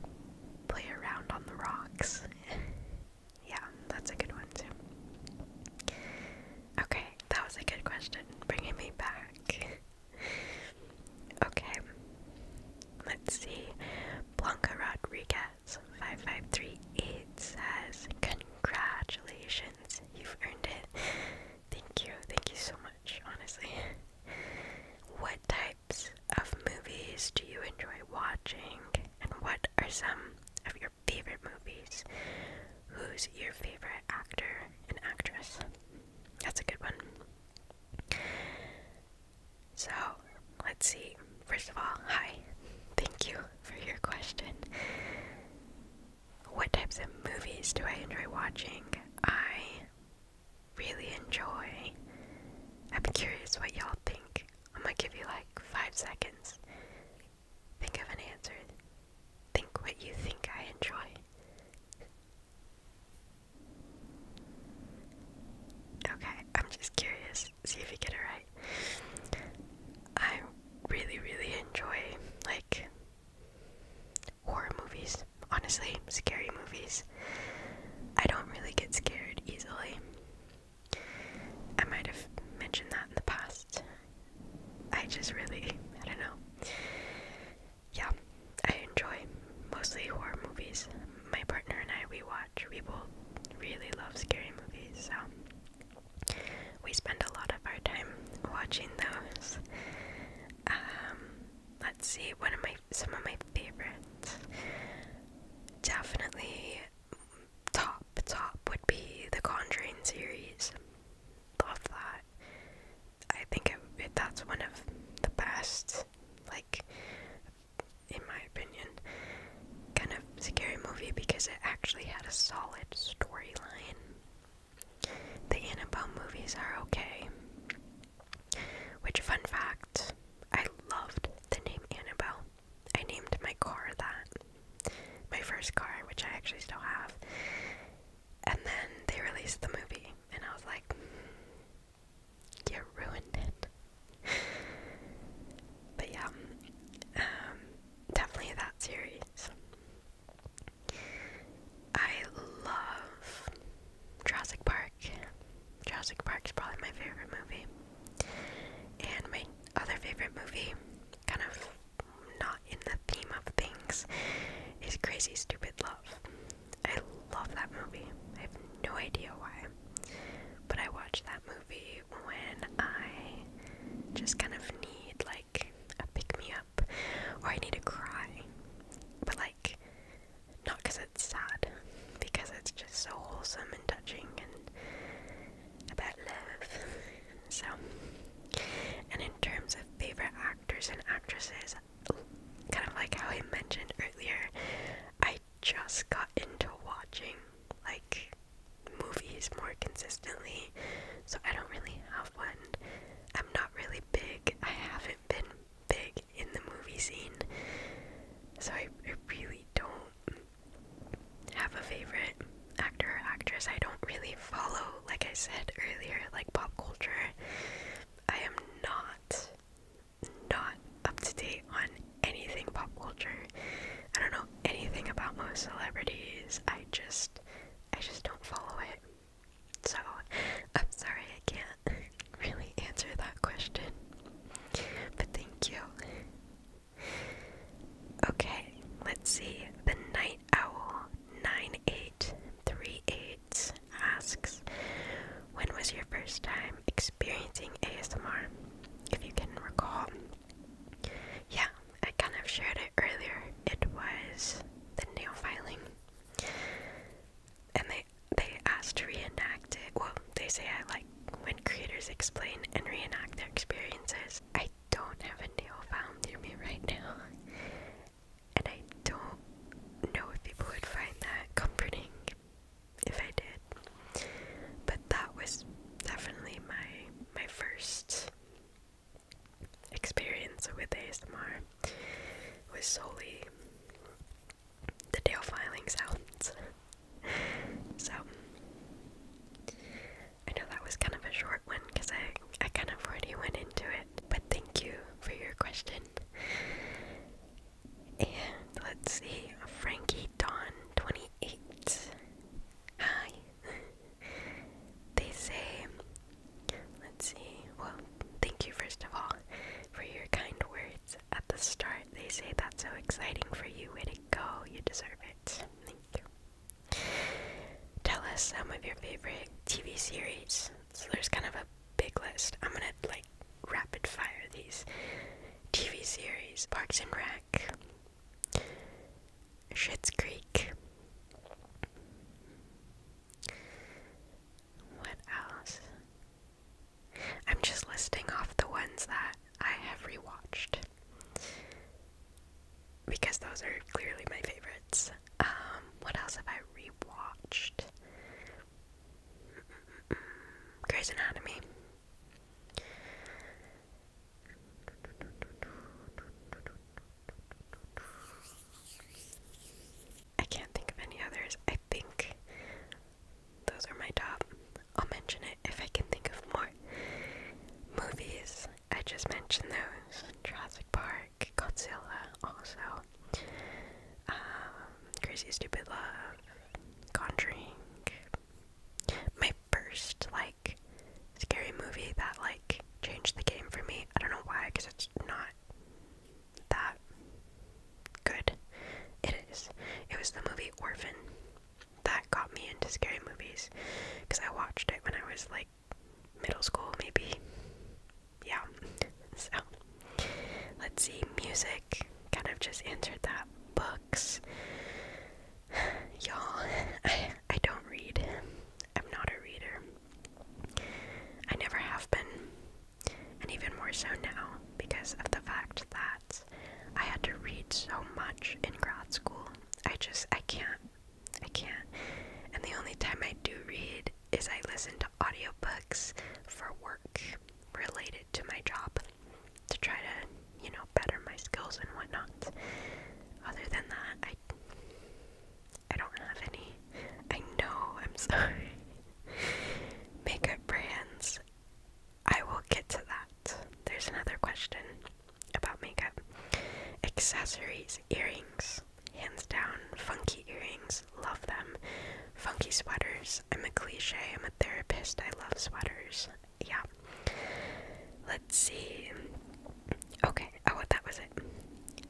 play around on the rocks. yeah, that's a good one too. Okay, that was a good question. Bringing me back. okay. Let's see. Blanca Rodriguez says, 5538 says, Congratulations, you've earned it. Thank you, thank you so much, honestly. What types of movies do you enjoy watching, and what are some of your favorite movies? Who's your favorite actor and actress? That's a good one. So let's see. First of all, hi. Thank you for your question. What types of movies do I enjoy watching? I really enjoy. I'm curious what y'all think. I'm gonna give you like five seconds. Think of an answer. Think what you think I enjoy. Okay, I'm just curious. See if you get it right. I really, really enjoy like horror movies. Honestly, scary movies. I don't really get scared easily. I might have mentioned that in the past. I just really, I don't know. Yeah, I enjoy mostly horror movies. My partner and I, we watch watch. We really love scary movies, so we spend a lot of our time watching those. Um, let's see, one of my some of my favorites. Definitely top top would be the Conjuring series. Love that. I think that's one of the best like in my opinion, kind of scary movie because it actually had a solid storyline. The Annabelle movies are okay. Which, fun fact, I loved the name Annabelle. I named my car that. My first car, which I actually still have. And then they released the movie, and I was like, mm, you ruined it. but yeah, um, definitely that series. I love Jurassic Park. Jurassic Park is probably my favorite movie. And my other favorite movie, kind of not in the theme of things, is Crazy Stupid Love. I love that movie. I have no idea why. But I watched that movie when I just kind of need like a pick me up or I need to cry. But like not because it's sad, because it's just so wholesome and touching and about love. So and in terms of favorite actors and actresses, kind of like how I mentioned earlier, I just got into watching like movies more consistently, so I don't really have one. I'm not really big. I haven't been big in the movie scene, so I, I really don't have a favorite actor or actress. I don't really follow, like I said earlier, like pop culture. I am not not up to date on anything pop culture. I don't know anything about most celebrities. I just I just don't follow it. So, I'm sorry I can't really answer that question. But thank you. Okay, let's see. The Night Owl 9838 asks When was your first time experiencing ASMR? If you can recall, yeah, I kind of shared it earlier. It was the nail filing. And they they asked to reenact it. Well, they say I like when creators explain and reenact their experiences. I don't have a nail file near me right now. And I don't know if people would find that comforting if I did. But that was definitely my my first experience with ASMR was solely the tail filing sounds. so I know that was kind of a short one because I, I kind of already went into it. But thank you for your question. And let's see, Frankie Don 28 Hi. they say, let's see, well, thank you first of all for your kind words at the start. They say that's so exciting for you. Way to go. You deserve it. Thank you. Tell us some of your favorite TV series. So there's kind of a big list. I'm gonna like rapid fire these TV series Parks and Rec, Schitt's Creek. What else? I'm just listing off the ones that I have rewatched because those are clearly my favorites. Um, what else have I rewatched? Grey's Anatomy. I can't think of any others. I think those are my top. I'll mention it if I can think of more. Movies, I just mentioned those. Jurassic Park, Godzilla, also. Um, Crazy Stupid Love, Conjuring. My first, like, scary movie that like changed the game for me. I don't know why, because it's not that good. It is. It was the movie Orphan that got me into scary movies, because I watched it when I was like middle school, maybe. Yeah. So let's see. Music kind of just entered that. Books. Y'all, I, I don't read. I'm not a reader. I never have been. And even more so now because of the fact that I had to read so much in grad school. I just, I can't. I can't. And the only time I do read is I listen to audiobooks for work related to my job to try to, you know, better my skills and whatnot. Other than that, I I don't have any. I know, I'm sorry. Makeup brands. I will get to that. There's another question about makeup. Accessories, earrings. Hands down, funky earrings. Love them. Funky sweaters. I'm a cliche. I'm a therapist. I love sweaters yeah. Let's see. Okay, oh, that was it.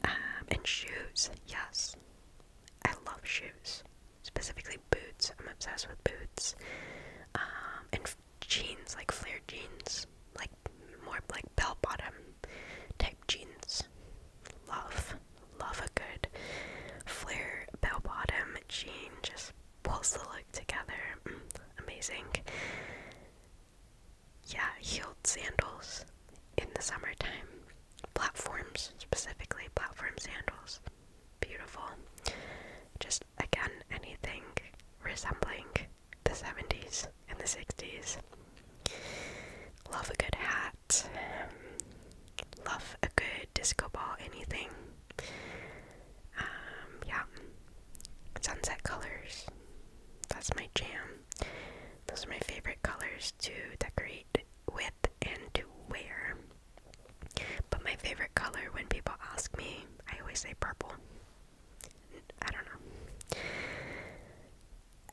Um, and shoes, yes. I love shoes, specifically boots. I'm obsessed with boots. Um, and jeans, like flare jeans, like more like bell bottom type jeans. Love, love a good flare bell bottom jeans pulls the look together. Mm, amazing. Yeah, heeled sandals in the summertime. Platforms, specifically platform sandals. Beautiful. Just again, anything resembling the 70s and the 60s. Love a good hat. love a good disco ball, anything. Um, yeah. Sunset colors. That's my jam. Those are my favorite colors to decorate with and to wear. But my favorite color when people ask me, I always say purple. I don't know.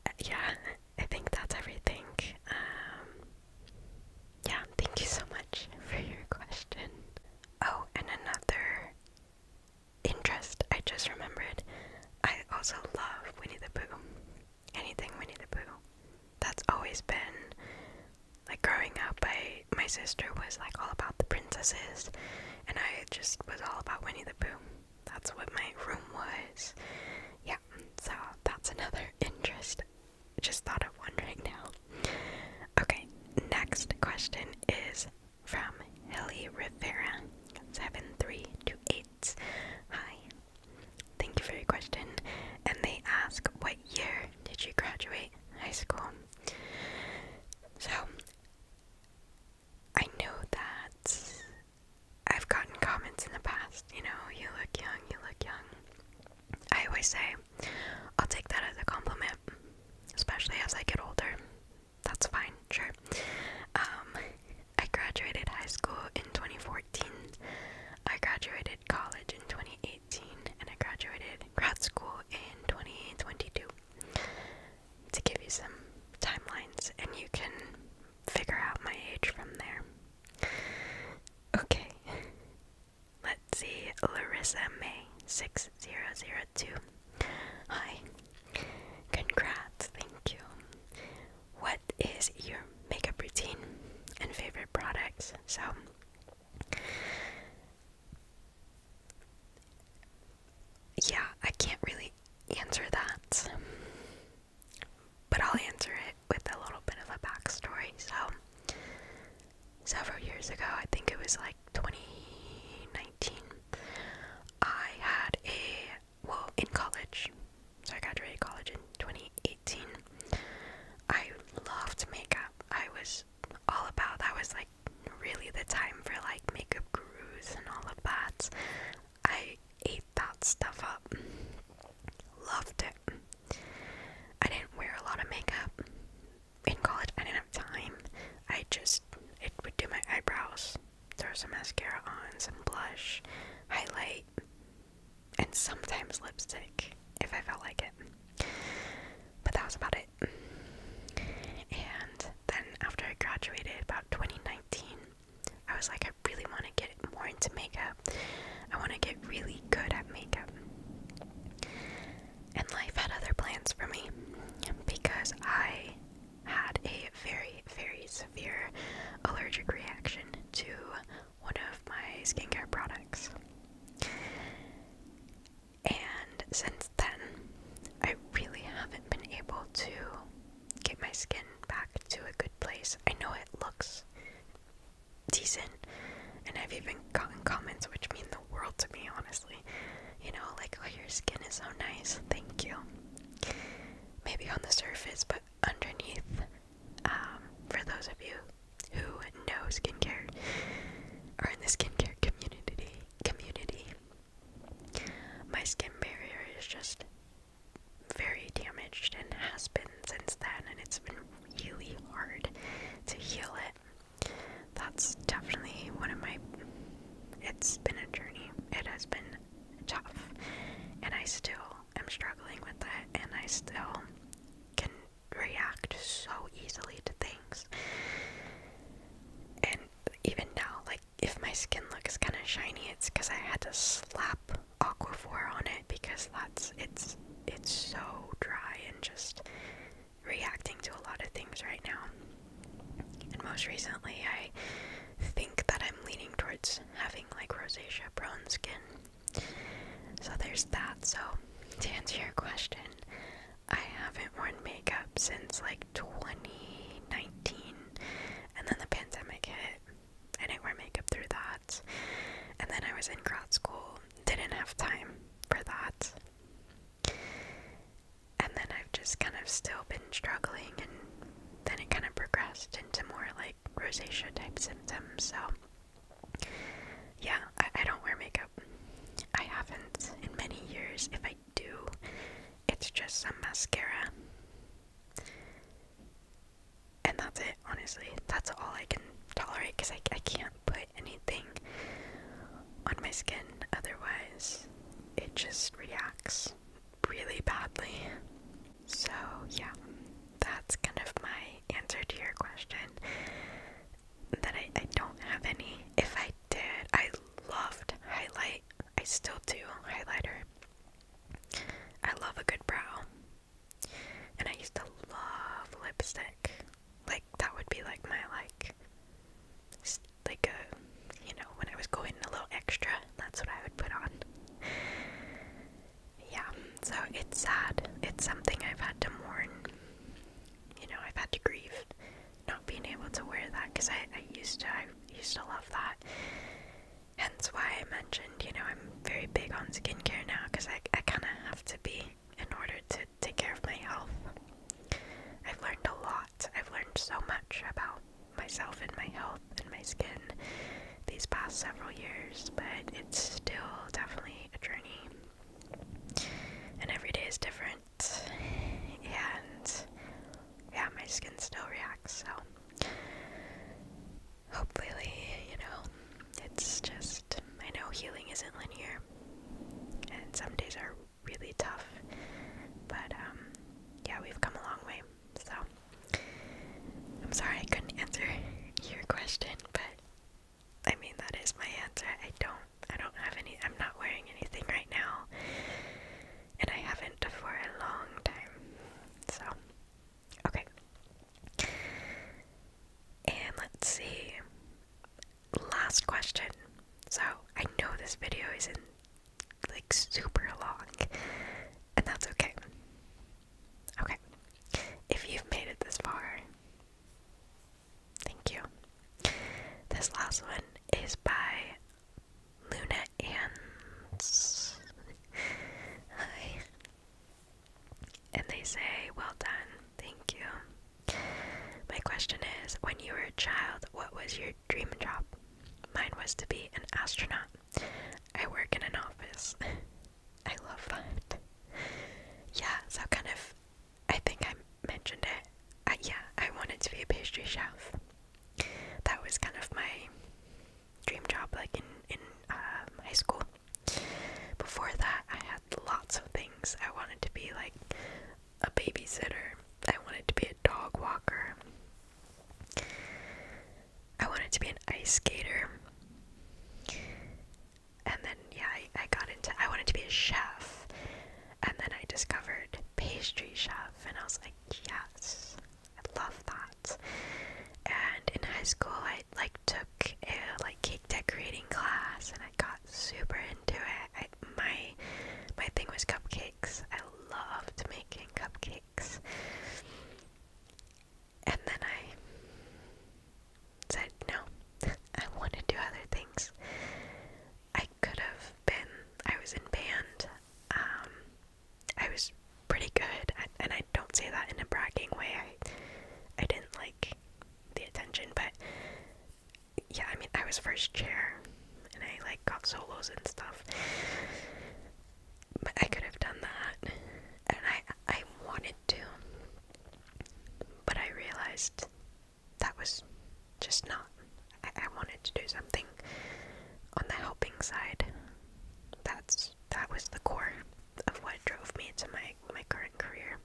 Uh, yeah, I think that's everything. Um, yeah, thank you so much for your question. Oh, and another interest, I just remembered I also love Winnie the Pooh. Anything Winnie the Pooh. That's always been like growing up I my sister was like all about the princesses and I just was all about Winnie the Pooh. That's what my room was. Yeah, so that's another interest. Just thought of one right now. Okay, next question is from Heli Rivera, seven three two eight. Hi, thank you for your question. And they ask, what year did you graduate high school? So I know that I've gotten comments in the past. You know, you look young. You look young. I always say, I'll take that as a compliment, especially as I get older that's fine, sure. Um, I graduated high school in 2014. I graduated college in 2018, and I graduated grad school in 2022. To give you some timelines, and you can figure out my age from there. Okay, let's see. Larissa May 6002. Hi. Congrats, thank you. What is your makeup routine and favorite products? So yeah, I can't really answer that. But I'll answer it with a little bit of a backstory. So, several years ago, I think it was like 2019, I had a well in college. So I graduated college in 2018. I loved makeup. I was all about that was like really the time for like makeup gurus and all of that. I ate that stuff up. Loved it. I didn't wear a lot of makeup in college I didn't have time. I just it would do my eyebrows, throw some mascara on, some blush, highlight, and sometimes lipstick if I felt like it. But that was about it. And then after I graduated about 2019, I was like I really want to get more into makeup. I want to get really good at makeup and life had other plans for me because I had a very, very severe allergic reaction to one of my skincare products. And since then, I really haven't been able to get my skin back to a good place. I know it looks decent, and I've even gotten comments which mean the world to me, honestly you know like oh your skin is so nice thank you maybe on the surface but underneath um, for those of you who know skincare or in the skincare community community my skin barrier is just very damaged and has been since then and it's been really hard to heal it that's definitely one of my it's been a journey. It has been tough and I still am struggling with that and I still can react so easily to things. And even now, like if my skin looks kind of shiny, it's because I had to slap Aquaphor on it because that's it's it's so dry and just reacting to a lot of things right now. And most recently, I think that I'm leaning towards having like rosacea prone skin. So there's that. So, to answer your question, I haven't worn makeup since like 2019, and then the pandemic hit. I didn't wear makeup through that. And then I was in grad school, didn't have time for that. And then I've just kind of still been struggling, and then it kind of progressed into more like rosacea type symptoms. So, yeah, I, don't wear makeup. I haven't in many years. If I do, it's just some mascara. And that's it, honestly. That's all I can tolerate because I, I can't put anything on my skin otherwise. It just reacts really badly. So, yeah, that's kind of my answer to your question. That I, I don't have any. If I did, I loved highlight. I still do highlighter. I love a good brow. And I used to love lipstick. Like that would be like my like like a, uh, you know, when I was going a little extra, that's what I would put on. Yeah, so it's sad. It's something I've had to mourn. You know, I've had to grieve not being able to wear that because I, I used to, I used to love that. Hence why I mentioned, you know, I'm very big on skincare now because I, I kind of have to be in order to take care of my health. I've learned a lot I've learned so much about myself and my health and my skin these past several years, but it's still definitely a journey. And every day is different. And yeah, my skin still reacts, so hopefully, you know, it's just I know healing isn't linear. And some days are really tough. But um, yeah, we've come a long way. So I'm sorry I couldn't answer your question, but I mean that is my answer. I don't I don't have any I'm not wearing anything right now. And I haven't for a long time. So okay. And let's see. Last question. So I know this video isn't like super long, and that's okay. Okay, if you've made it this far, thank you. This last one is by Luna Ann's. Hi. And they say, Well done, thank you. My question is When you were a child, what was your dream job? Mine was to be an astronaut. I work in an office. I love that. Yeah, so kind of, I think I mentioned it. yeah, I wanted to be a pastry chef. That was kind of my dream job, like in in um, high school. Before that, I had lots of things I wanted to be, like a babysitter. I wanted to be a dog walker. I wanted to be an ice skater. And then, yeah, I, I got into, I wanted to be a chef. And then I discovered pastry chef, and I was like, yes, I love that. And in high school, I like took a like cake decorating class, and I got super into it. I, my my thing was cupcakes. I loved making cupcakes. And then I said, no, I want to do other things. I could have been, I was in band. Um, I was pretty good, and I don't say that in a bragging way. I, I didn't like the attention, but yeah, I mean, I was first chair and I like got solos and stuff. But I could have done that, and I I wanted to, but I realized that was just not. I, I wanted to do something on the helping side. That's that was the core of what drove me into my my current career.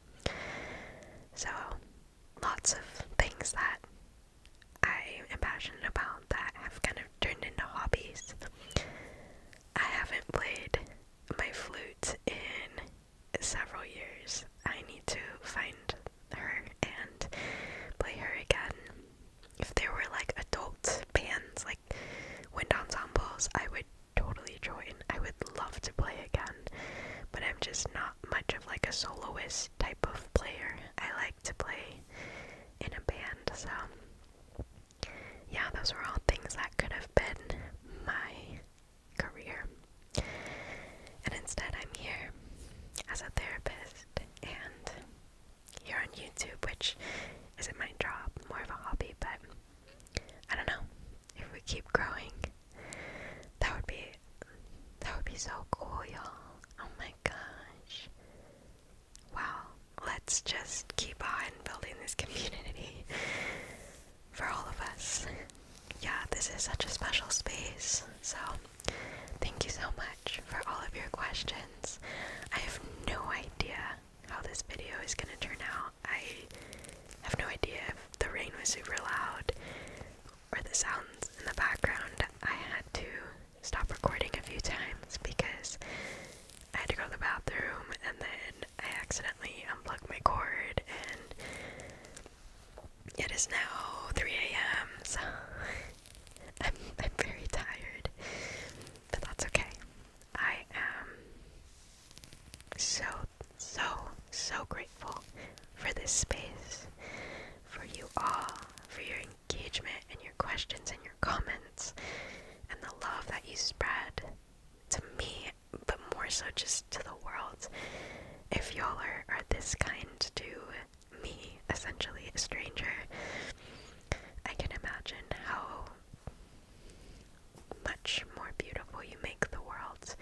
So lots of things that I am passionate about that have kind of turned into hobbies. I haven't played my flute in several years. I need to find her and play her again. If there were like adult bands, like wind ensembles, I would totally join. I would love to play again, but I'm just not much of like a soloist type of player. I like to play in a band. So, yeah, those were all things that could have been my career. And instead, I'm here as a therapist and here on YouTube, which isn't my job, more of a hobby, but I don't know. If we keep growing, that would be that would be so cool, y'all. Oh my gosh. Wow. Let's just keep on building this community for all of us. Yeah, this is such a special space. So, thank you so much for all of your questions. I have no idea how this video is going to turn out. I have no idea if the rain was super loud or the sounds in the background. I had to stop recording a few times because I had to go to the bathroom and then I accidentally unplugged my cord and it is now 3 a.m. so I'm, I'm very tired, but that's okay. I am so, so, so grateful for this space, for you all, for your engagement and your questions and your comments and the love that you spread to me, but more so just to the world. If y'all are, are this kind to me, essentially a stranger, I can imagine how much more beautiful you make the world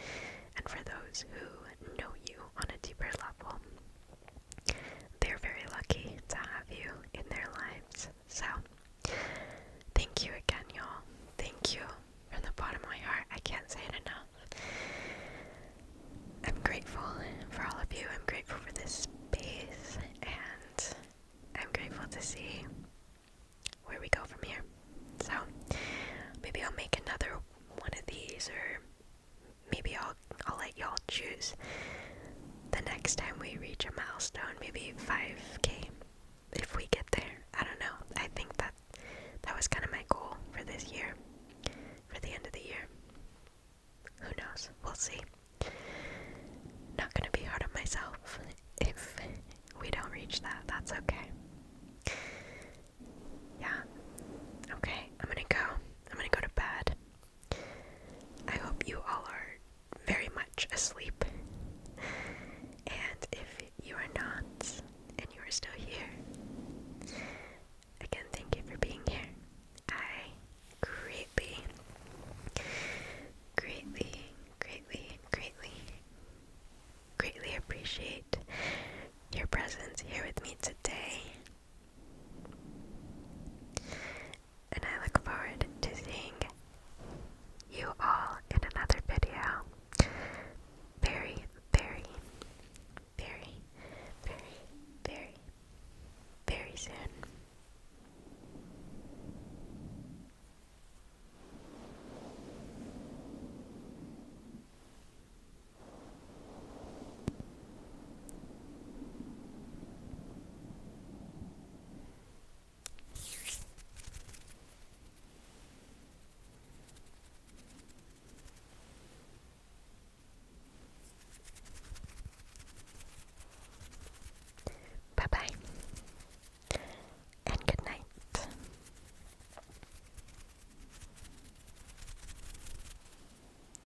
and for those who know you on a deeper level. They're very lucky to have you in their lives. So, thank you again, y'all. Thank you from the bottom of my heart. I can't say it enough. I'm grateful for all of you. I'm grateful for this space, and I'm grateful to see where we go from here. So, maybe I'll make another one of these, or maybe I'll I'll let y'all choose the next time we reach a milestone, maybe 5k if we get there. I don't know. I think that that was kind of my goal for this year, for the end of the year. Who knows? We'll see. Not gonna be hard on myself if we don't reach that. That's okay. Yeah. Okay, I'm gonna go. I'm gonna go to bed. I hope you all are very much asleep. And if you are not, and you are still here, again, thank you for being here. I greatly, greatly, greatly, greatly, greatly appreciate your presence here with me today. And I look forward to seeing you all in another video very, very, very, very, very, very soon. Bye bye and good night.